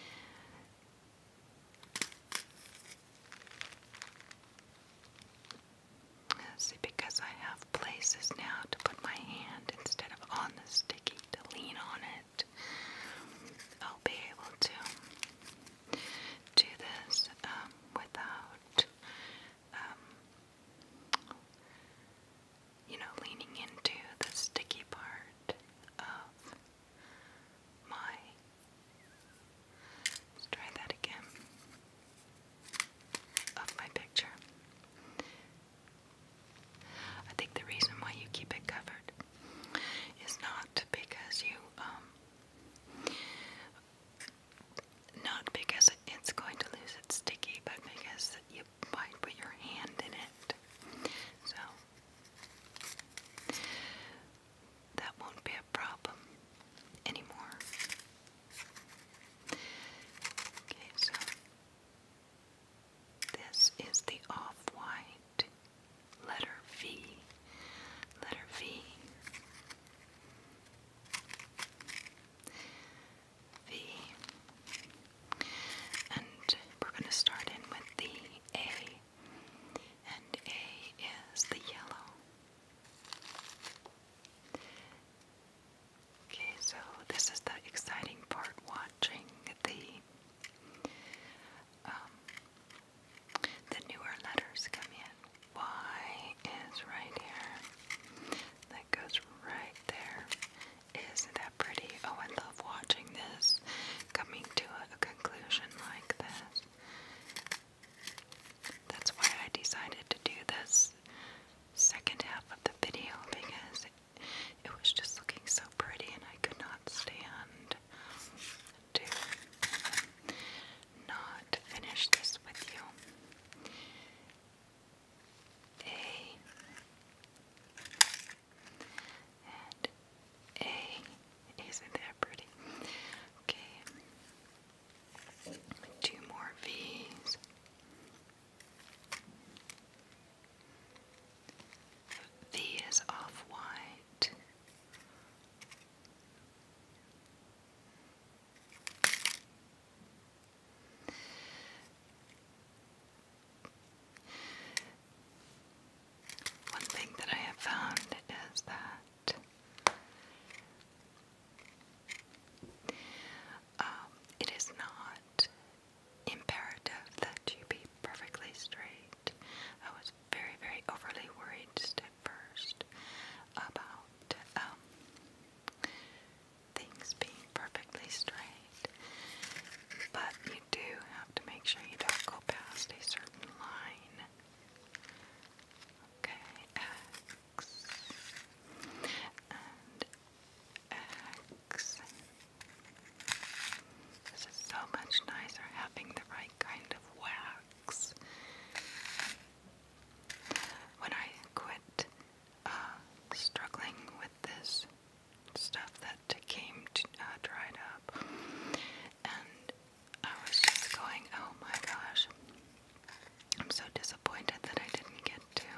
See, because I have places now to put my hand instead of on the sticky to lean on it, I'll be able to do this um, without, um, you know, leaning into the sticky part of my. try that again. Of my picture. I think the reason why you keep it covered is not because you um, not because it's going to lose its sticky, but because you might put your hand in it. So, that won't be a problem anymore. Okay, so this is the off white letter V. Letter V. V. And we're going to start in with the A. And A is the yellow. Okay, so this is the exciting part watching the um, the newer letters come in. Y is right here. That goes right there. Isn't that pretty? Oh, I love watching this coming to a conclusion like this. That's why I decided to do this second half of the video because it, it was just looking so pretty and I could not stand to finish this with you. A and A. Isn't that pretty? Okay. Two more V's. V is off white. One thing that I have found is that um, it is not imperative that you be perfectly straight very, very overly worried just at first about um, things being perfectly straight, but you do have to make sure you don't go past a certain line. Okay, X and X. This is so much nicer having the right kind of wax when I quit uh, struggling with this stuff that came uh, dried up, and I was just going, oh my gosh, I'm so disappointed that I didn't get to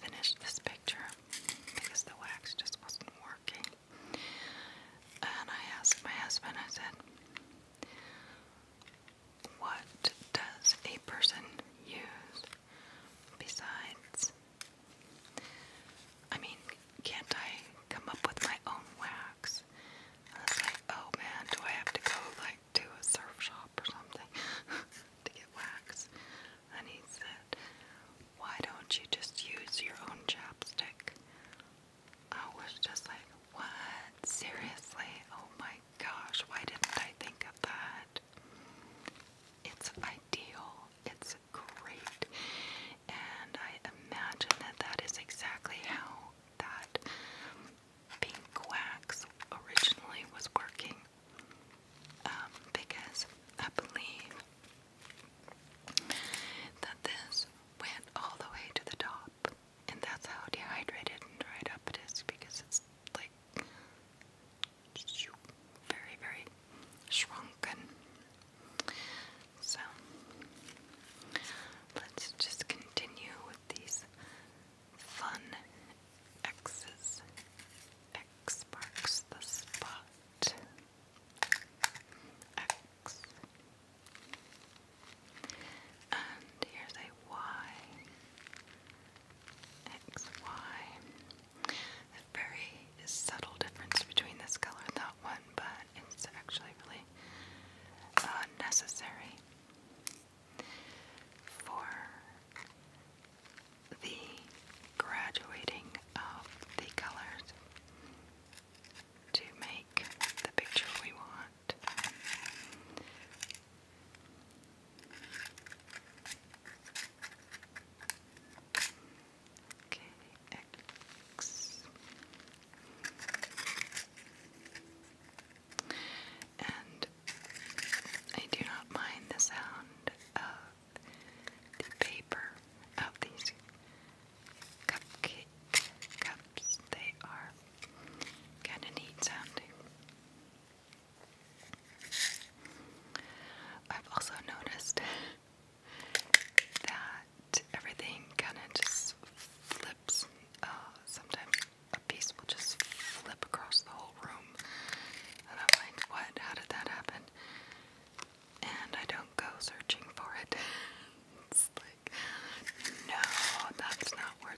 finish this picture because the wax just wasn't working. And I asked my husband, I said, what does a person use besides? I mean, can't I come up with my own wax? I was like, oh man, do I have to go like to a surf shop or something to get wax? And said, why don't you just use your own chapstick? I was just like, what? Seriously? Oh my gosh, why didn't I think of that? It's ideal. It's great. And I imagine that that is exactly how that pink wax originally was working. Um, because I believe that this went all the way to the top. And that's how dehydrated and dried up it is because it's like very, very shrunken. So let's just continue with these fun X's. X marks the spot. X. And here's a Y. X, Y. A very subtle difference between this color and that one, but it's actually really uh, necessary for the graduating of the colors to make the picture we want that. Okay, And I do not mind the sound of the paper of these cupcake cups. They are Kind of neat sounding. I've also noticed that everything kind of just flips. Uh, sometimes a piece will just flip across the whole room. And I'm like, what? How did that happen? And I don't go searching for it. it's like, no, that's not where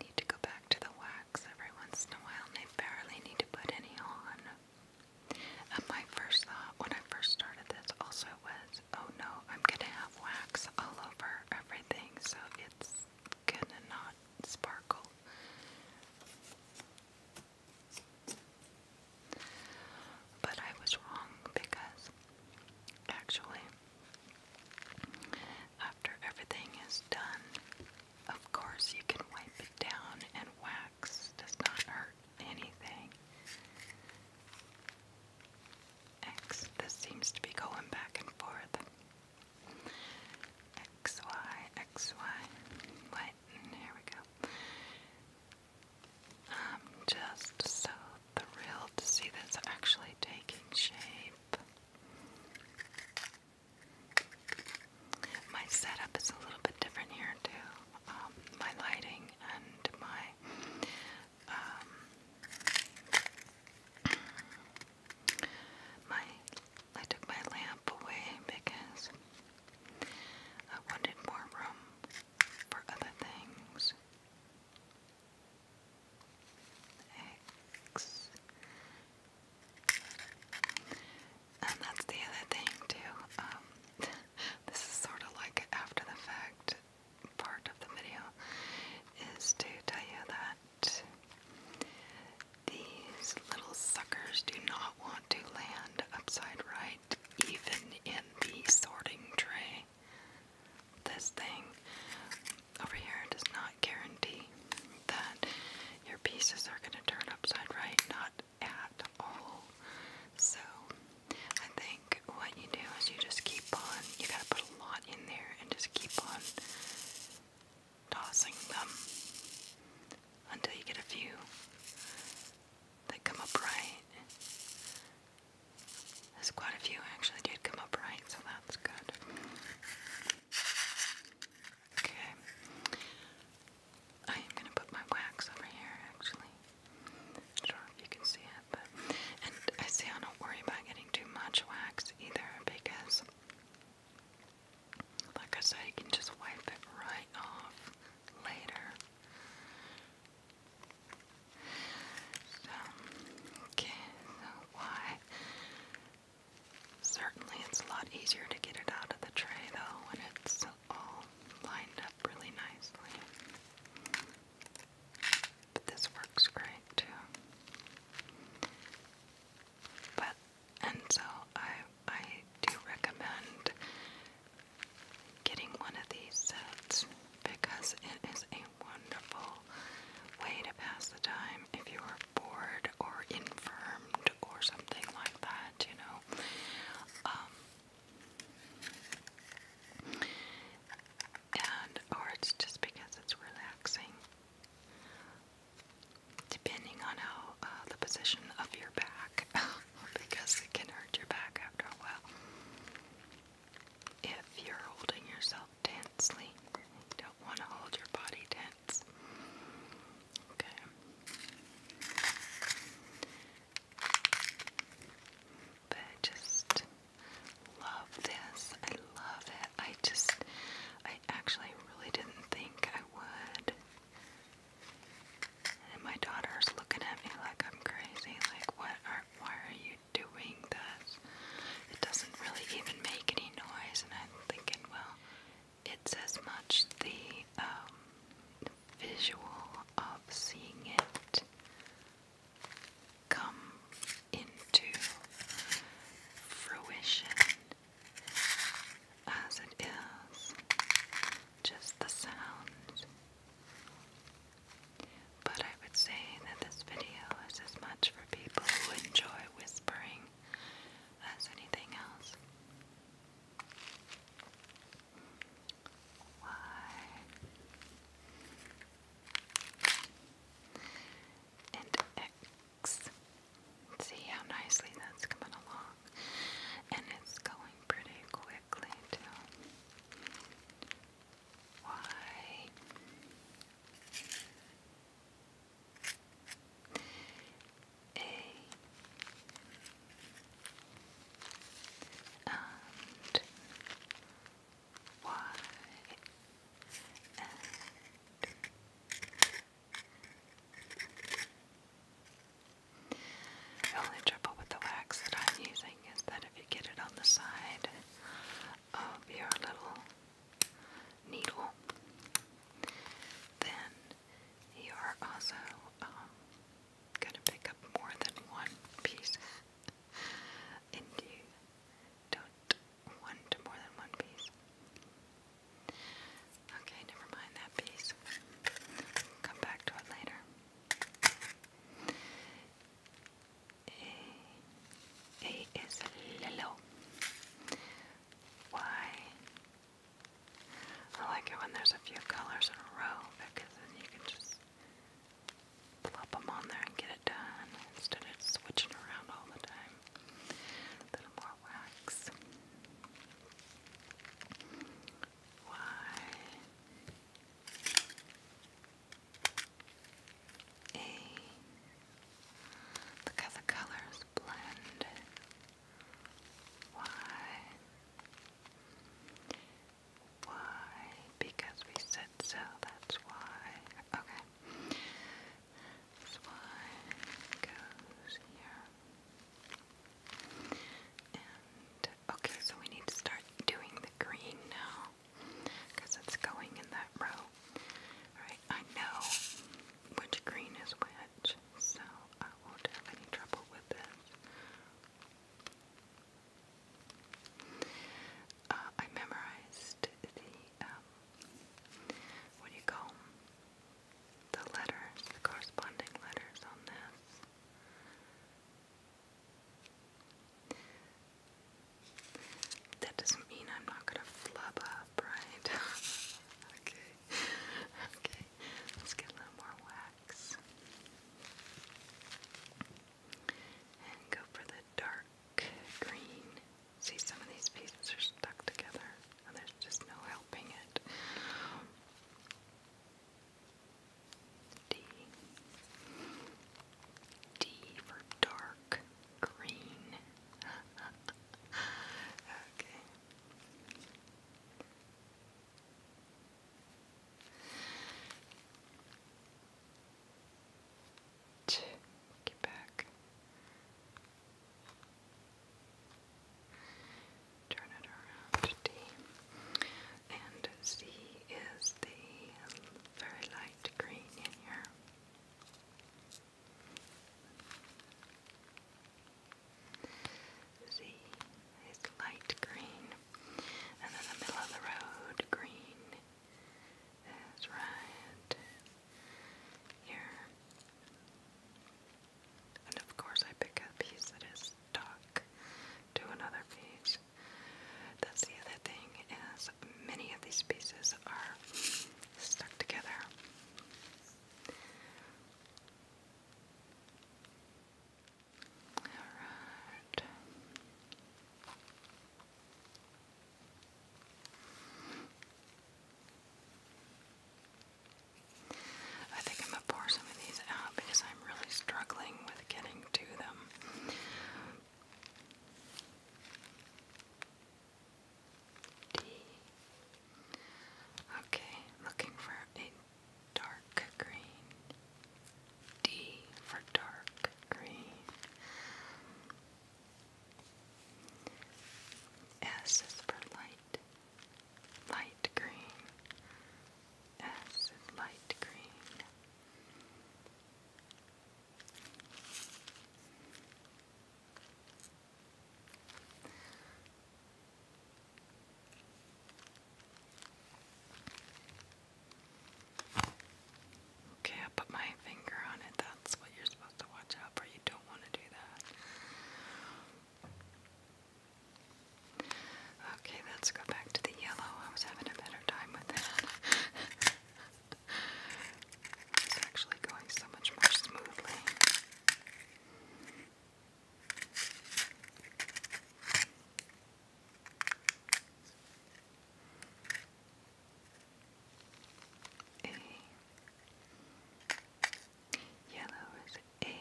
Need to go back to the wax every once in a while, I barely need to put any on. And uh, my first thought when I first started this also was, oh no, I'm gonna have wax all over everything, so it's gonna not sparkle. But I was wrong because actually, after everything is done, of course you can wipe it down, and wax does not hurt anything. X, this seems to be going back and forth. X, Y, X, Y. What? here we go. I'm just so thrilled to see this actually taking shape. My setup is a little bit different here too. Um, my lighting and my um, my I took my lamp away because I wanted more room for other things. X. And that's the other thing too. Um, this is sort of like after the fact part of the video is to tell you that these little suckers do not want to land upside right even in the sorting tray. This thing over here does not guarantee that your pieces are going to turn upside right, not at all. So, I think what you do is you just keep on, you gotta put a lot in there and just keep on tossing them until you get a few that come up There's quite a few actually did come up right, so that's good. Okay. I am going to put my wax over here actually. don't know if you can see it, but. I see I don't worry about getting too much wax either because, like I said, you can just wipe it right off later. So, okay, so why? Certainly, it's a lot easier to get it out of the tray though when it's all lined up really nicely. But this works great too. But and so I I do recommend getting one of these sets because it is a wonderful way to pass the time if you are bored or infirmed or something like that, you know. Um, and or it's just because it's relaxing. Depending on how uh, the position of your back because it can hurt your back after a while. If you're holding yourself tensely, don't want to hold your body tense. Okay. But just love this. I love it. I just, I actually really didn't think I would. And my daughter's looking at me like I'm crazy, like, what are, why are you doing this? It doesn't really even make any noise, and I'm thinking, well, it's as much the, the um, visual of seeing it come into fruition as it is, just the sound. But I would say that this video is as much for people who enjoy whispering as anything else. Why? And X. See how nicely that's coming along. And it's going pretty quickly, too. Why? A and Y um, the only trouble with the wax that I'm using is that if you get it on the side of your little needle, then you are also um, going to pick up more than one piece, and you don't want more than one piece. Okay, never mind that piece. Come back to it later. A, eh, A is Lilo. Y. I like it when there's a few colors in a row because then you can just plop them on there and get it done instead of switching around all the time. A little more wax. Y. A. Look the colors blend. Why? Why? Because we said so, that's why. Okay. why goes here. And Okay, so we need to start doing the green now because it's going in that row. Alright, I know which green is which, so I won't have any trouble with this. Uh, I memorized the, um, what do you call The letters, the corresponding letters on this. That doesn't mean I'm not gonna flub up, right? okay, okay, let's get a little more wax and go for the dark green. See, some of these pieces are stuck together, and there's just no helping it. D. D for dark green. okay. T get back. Turn it around. D and Z is the very light green in here. Z is light green, and then the middle of the road green is right here. And of course, I pick a piece that is stuck to another piece. That's the other thing is many of these pieces are stuck together. All right. I think I'm gonna pour some of these out because I'm really struggling with getting something to Okay, looking for a dark green. D for dark green. S is for light, light green. S is light green. Okay, I put my finger on it. That's what you're supposed to watch out for. You don't want to do that. Okay, let's go back to the yellow. I was having a better time with that. it's actually going so much more smoothly. A. Yellow is A.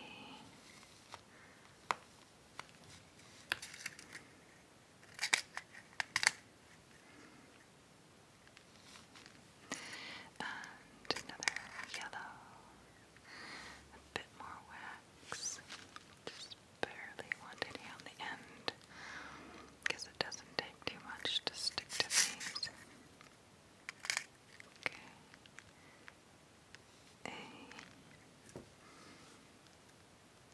And another yellow. A bit more wax. Just barely want any on the end. Because it doesn't take too much to stick to these. Okay. A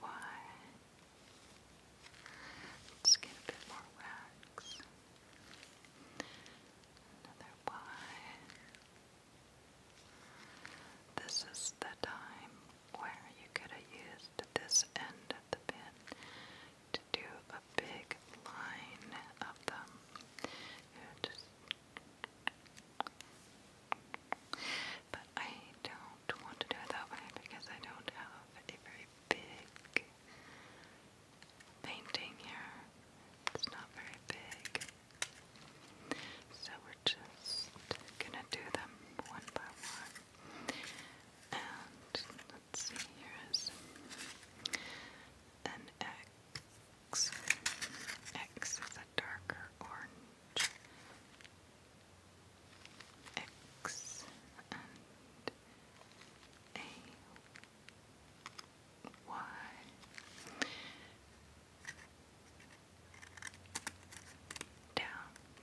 why. let get a bit more wax. Another Y. This is the time where you could have used this end of the pin to do a big line of them. but I don't want to do that way because I don't have a very big painting here. It's not very big. So we're just gonna do them one by one. And let's see, here is an X. X is a darker orange. X and A Y. Down,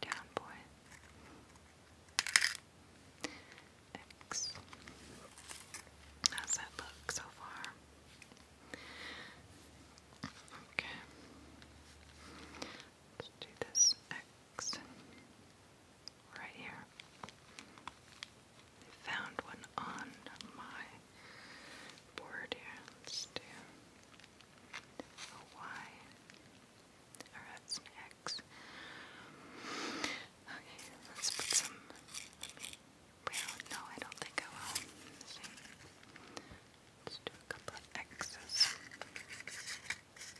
down, boy. X. How's that look so far? Okay. Let's do this six, right here. I found one on my board here. Let's do a Y, or that's an X. Okay, let's put some. Let me, well, no, I don't think I will. Let's, let's do a couple of X's. X.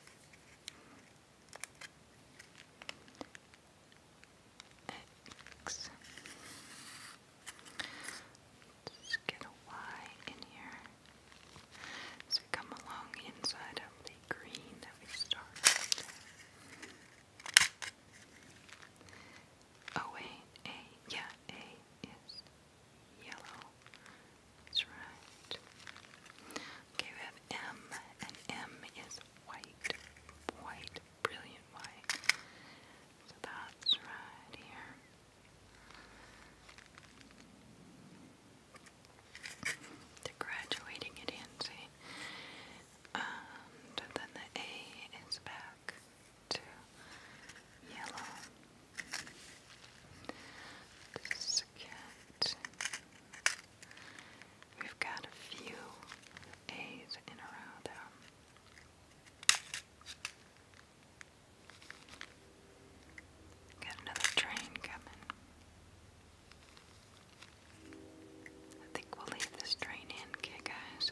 Let's get a Y in here. So we come along inside of the green that we started oh, with. yeah, A is yellow. That's right. Okay, we have M, and M is white, white, brilliant white. So that's right here. graduating it And then the A is back to yellow. This cat. We've got a few A's in a row, though. Got another train coming. I think we'll leave this train in, okay, guys?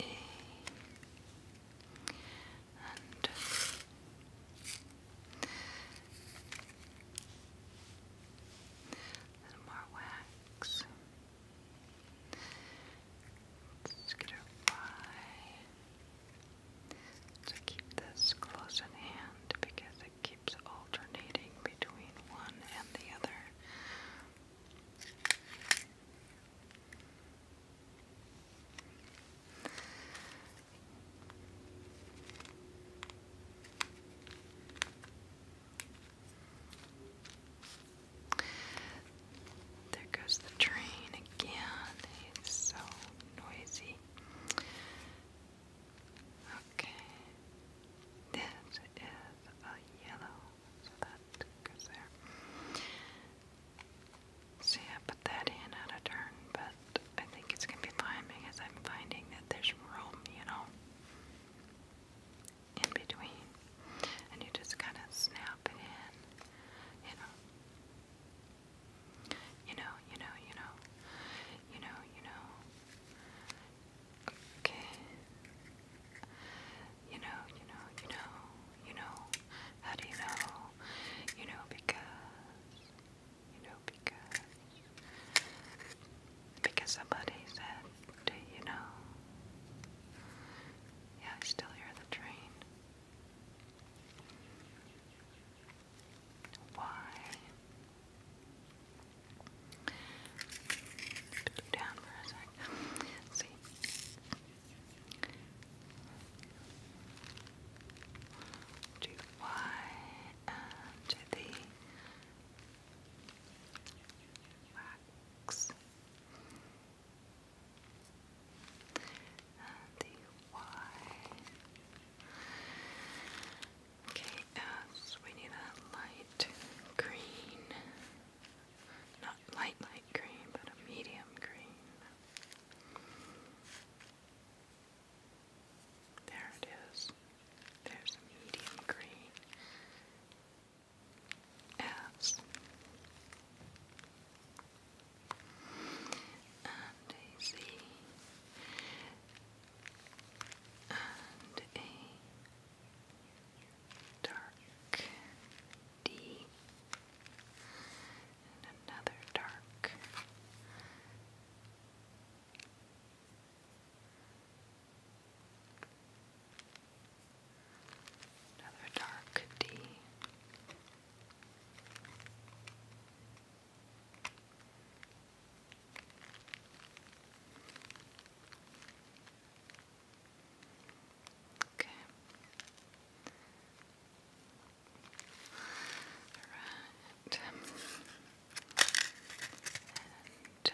E and a little more wax. Let's get her by. keep this close in hand because it keeps alternating between one and the other. There goes the train again. It's so noisy. Okay, this a yellow so that goes there. See, I put that in out of turn, but I think it's gonna be fine because I'm finding that there's room, you know, in between, and you just kind of snap it in, you know. You know, you know, you know, you know, Okay. You know, you know, you know, you know. How do you know? You know because, you know because, because somebody said, do you know? Yeah, I still hear the train. Why? Down for a sec. See, to y and the wax and the y. Okay, S, we need a light green. Not light, light green, but a medium green. There it is. There's medium green. As and a Z and a dark D and another dark. Another dark D. Okay. Alright. And a and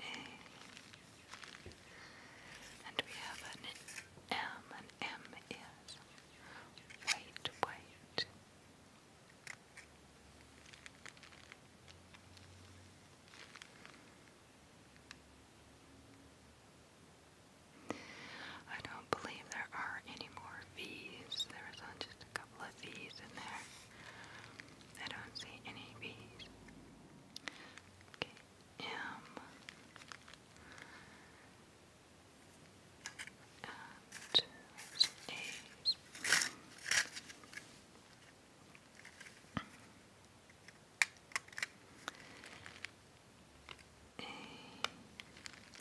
a. And we have an M, and M is white, white. I don't believe there are any more V's. There's just a couple of V's in there. I don't see any V's. Okay, M and A's.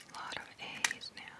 A lot of A's now.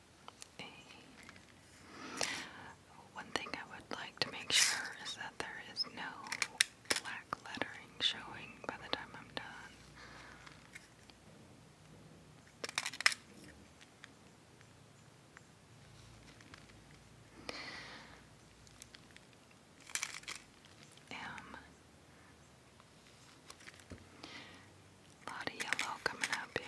One thing I would like to make sure is that there is no black lettering showing by the time I'm done. Um, lot of yellow coming up here.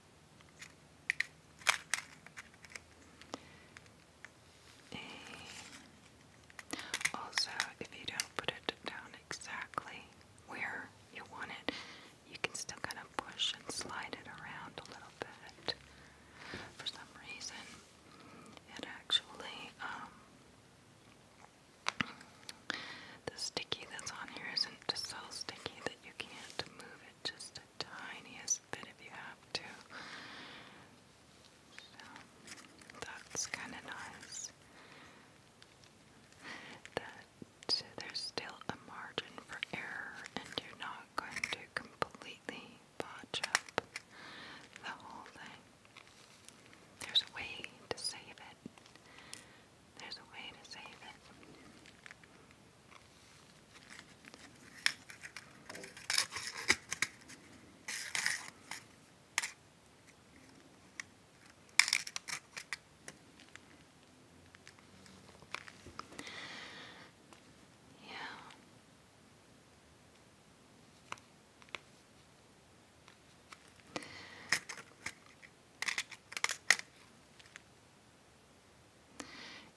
And also, if you don't put it down exactly where you want it, you can still kind of push and slide it around a little bit. For some reason, it actually, um, the sticky that's on here isn't just so sticky that you can't move it just tiniest bit if you have to. that's kind of nice. That there's still a margin for error, and you're not going to completely botch up the whole thing. There's a way to save it. There's a way to save it. Yeah.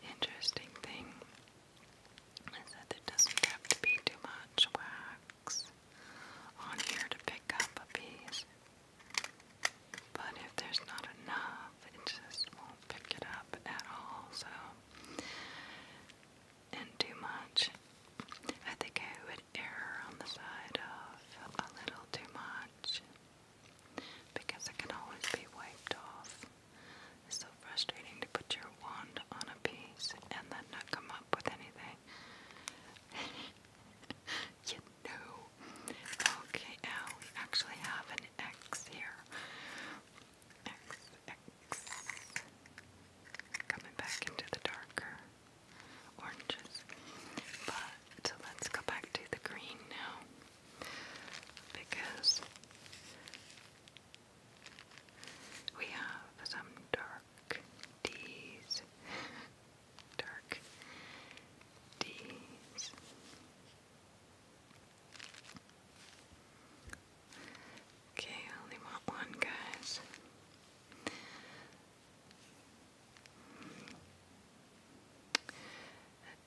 Interesting thing is that there doesn't have to be too much wax on here to pick up a piece. But if there's not enough, it just won't pick it up at all. So, and too much. I think I would err on the side of a little too much because it can always be wiped off. It's so frustrating to put your wand on a piece and then not come up with anything. you know. Okay, now we actually have an X here. X, X. Coming back into the darker oranges. But let's go back to the green now because we have some dark D's. dark D's. Okay, only one, guys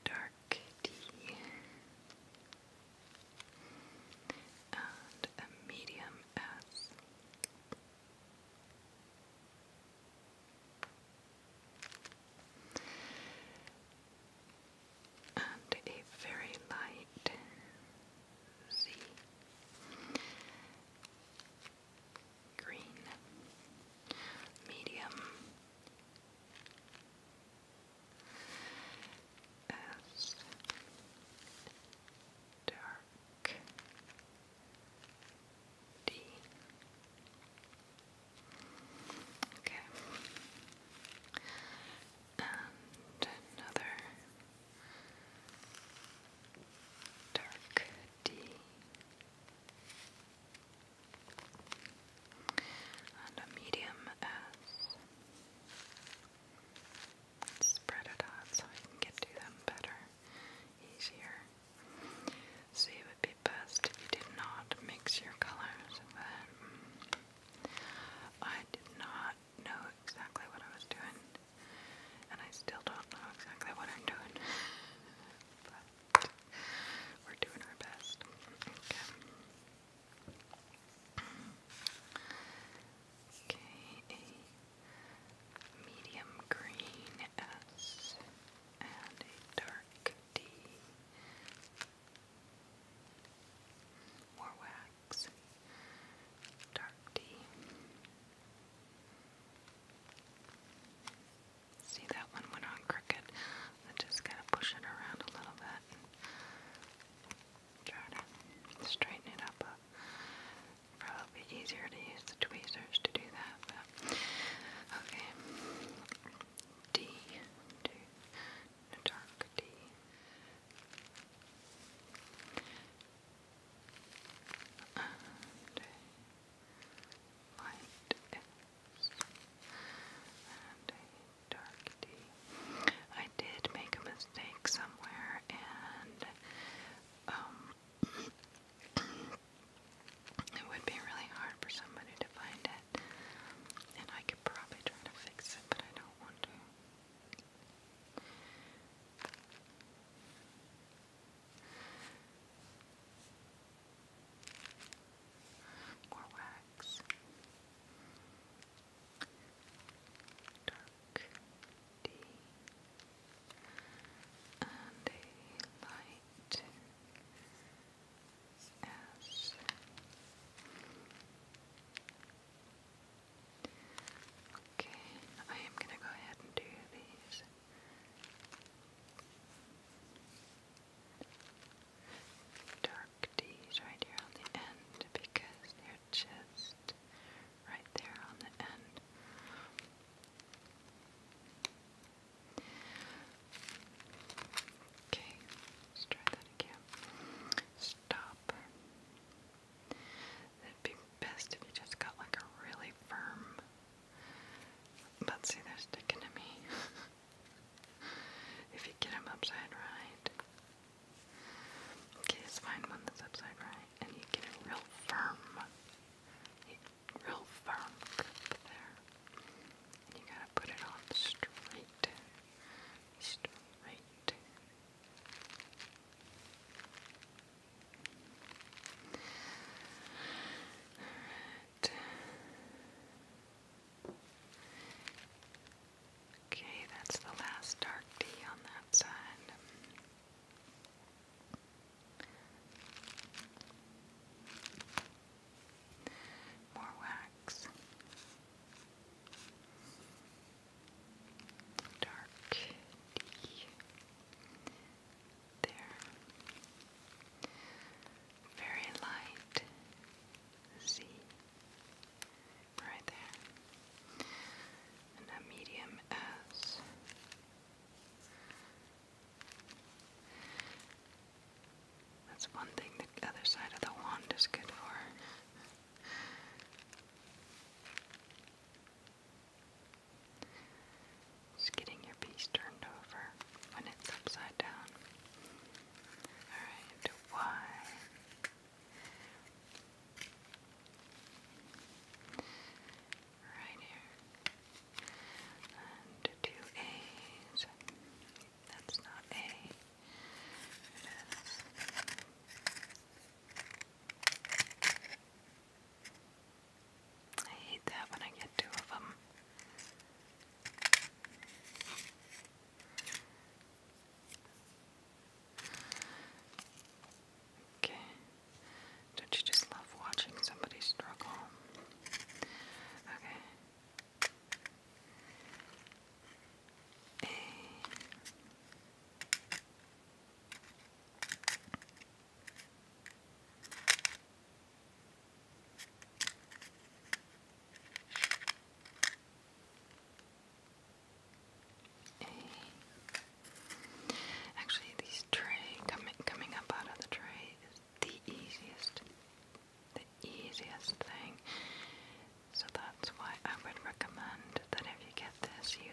dark D and a medium S. And a very light Z green, medium as dark D. Okay. And another dark D and a medium S. Spread it out so I can get to them better, easier. See, it would be best if you did not mix your colors, but mm, I did not know exactly what I was doing, and I still don't know exactly what I'm doing. but we're doing our best. Okay. Okay, medium green S and a dark D. More wax. Dark D. See that one went on crooked. i just gonna push it around a little bit try to straighten it up. probably easier to use the tweezers to do that. okay, D, D, dark D. light I did make a mistake somewhere, and um, it would be really hard for somebody to find it. And I could probably try to fix it, but I don't want to. More wax. Dark D. And a light S. Okay, I am going to go ahead and do these dark D's right here on the end because they're just right there on the end. Okay, let's try that again. Stop. It'd be best if you just got like a really firm. But see, they're sticking to me. if you get them upside right. Okay, find one that's upside right, and you get it real firm. real firm there. you gotta put it on straight. Straight. Alright. Okay, that's the last dark D on that side. More wax. Dark D. There. Very light C. Right there. And a medium S. That's one thing the other side of the wand is good for. Just getting your piece turned over when it's upside down. Alright, one. Right here. And two A's. That's not A. It is. I hate that when I get two of them. Okay. Don't you just love watching somebody struggle? Okay. A. Actually, these tray coming coming up out of the tray is the easiest, the easiest thing. So that's why I would recommend that if you get this, you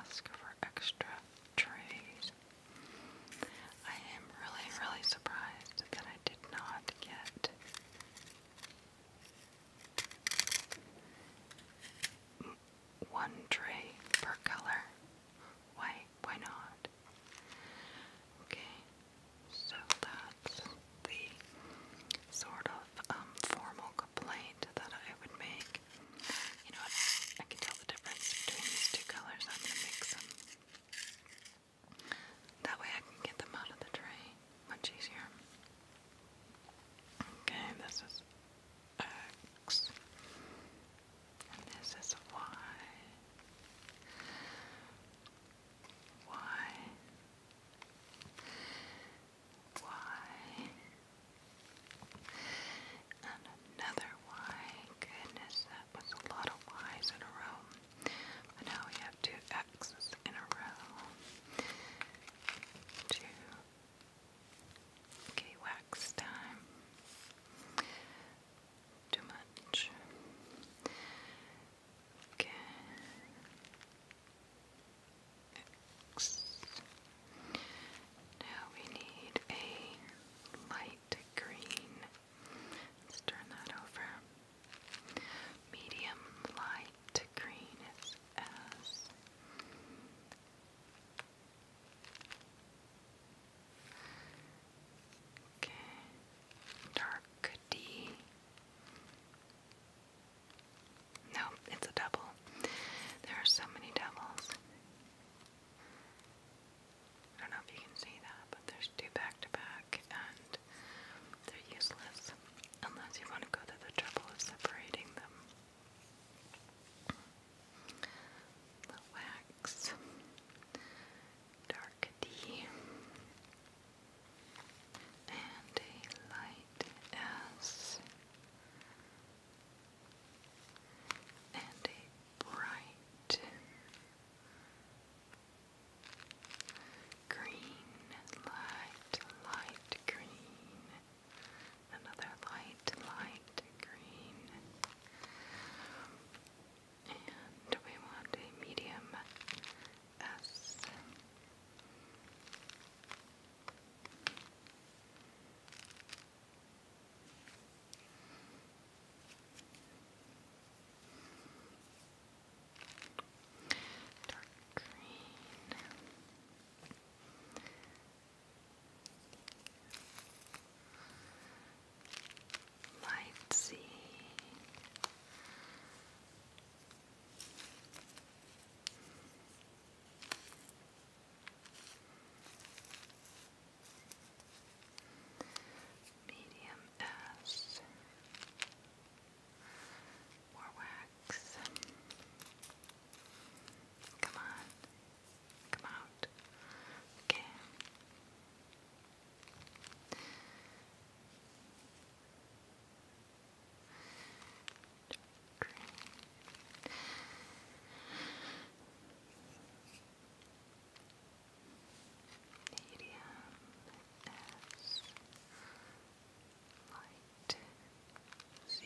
ask for extra trays. I am really, really surprised that I did not get one tray per color. Why? Why not? Okay, so that's the sort of um, formal complaint that I would make. You know, I can tell the difference between these two colors. I'm gonna mix them. That way I can get them out of the tray much easier. Okay, this is X. And this is Y. Y. Y. And another Y. Goodness, that was a lot of Y's in a row now we have two X's in a row. Two. Okay, wax time. Too much. Okay. X. Now we need a light green. Let's turn that over. Medium light green is S. Okay. Dark D. No, it's a double. There are so many doubles. I don't know if you can see that, but there's two back to back and they're useless unless you want to go to the trouble of separating them. wax, dark D, and a light S, and a bright green, light, light green, another light, light green, and we want a medium S dark green. Light sea. Medium S. More wax. Come on. Come out. Okay. Green. Medium S light Z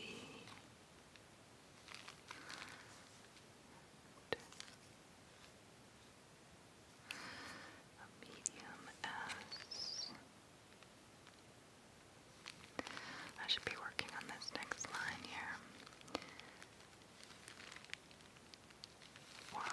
medium S. I should be working on this next line here. Y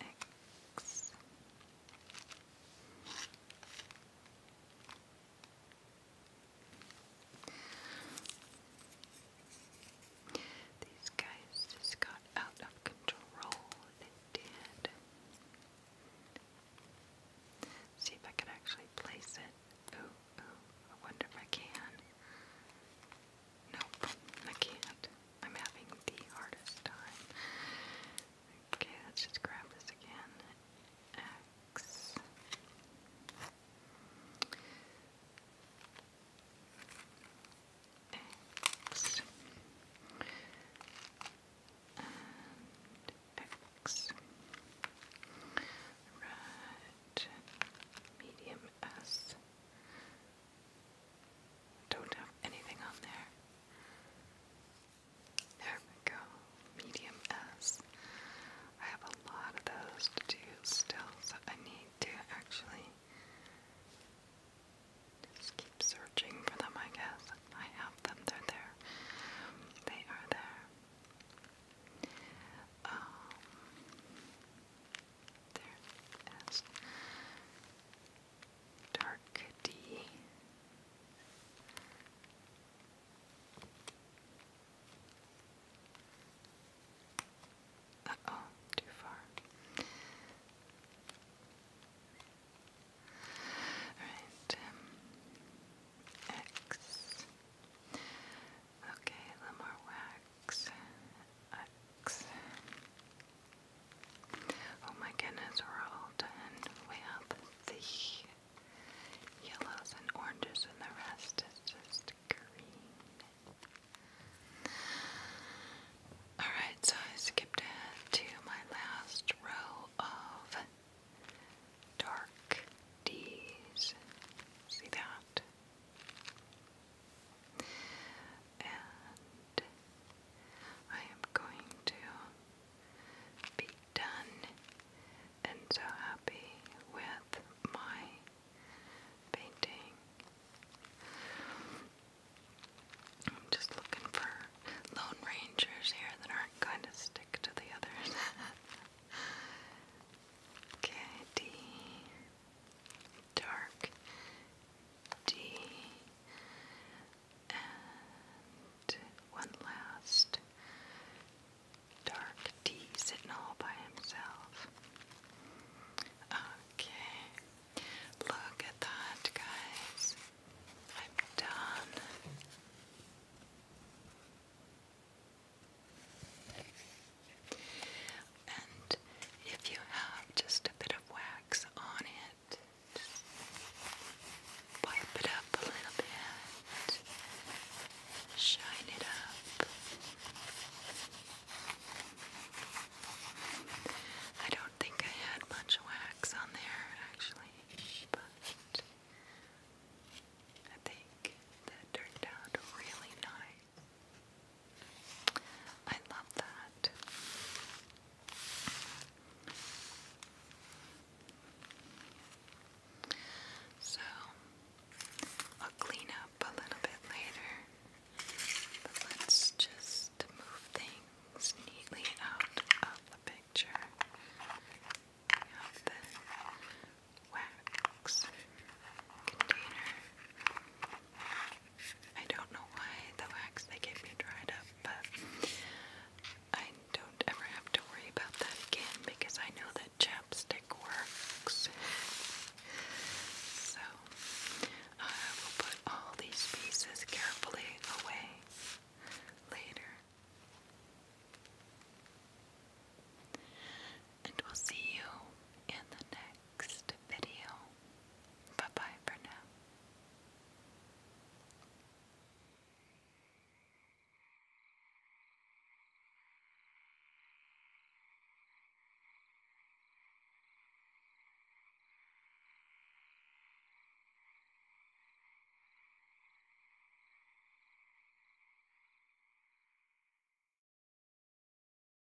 X. These guys just got out of control. They did. See if I could actually place it. Oh, oh, I wonder if I can. Nope, I can't. I'm having the hardest time. Okay, let's just grab this again. X. X. X. Medium S. Don't have anything on there. There we go. Medium S. I have a lot of those to do still, so I need to actually just keep searching for them, I guess. I have them, they're there. They are there. Um, there dark D. oh, too far. Alright, um, X. Okay, a little more wax. Oh my goodness, we're all done. We the yellows and oranges, and the rest is just green. Alright, so I skipped to my last row of dark D's. See that? and I am going to be done and so happy with my painting. I'm just looking for lone rangers here that aren't going to stick to the others. okay, dark D, and one last dark D sitting all by himself. Okay, look at that, guys. I'm done. And if you have just a bit of wax on it, wipe it up a little bit, shine it up. I don't think I had much wax on there actually, but I think that turned out really nice. I love that. So I'll clean up a little bit later, but let's just move things neatly out of the picture. We have the wax container. I don't know why the wax they gave me dried up, but I don't ever have to worry about that again because I know that chapstick works. So I will put all these pieces carefully away later. And we'll see you in the next next video. Bye bye for now.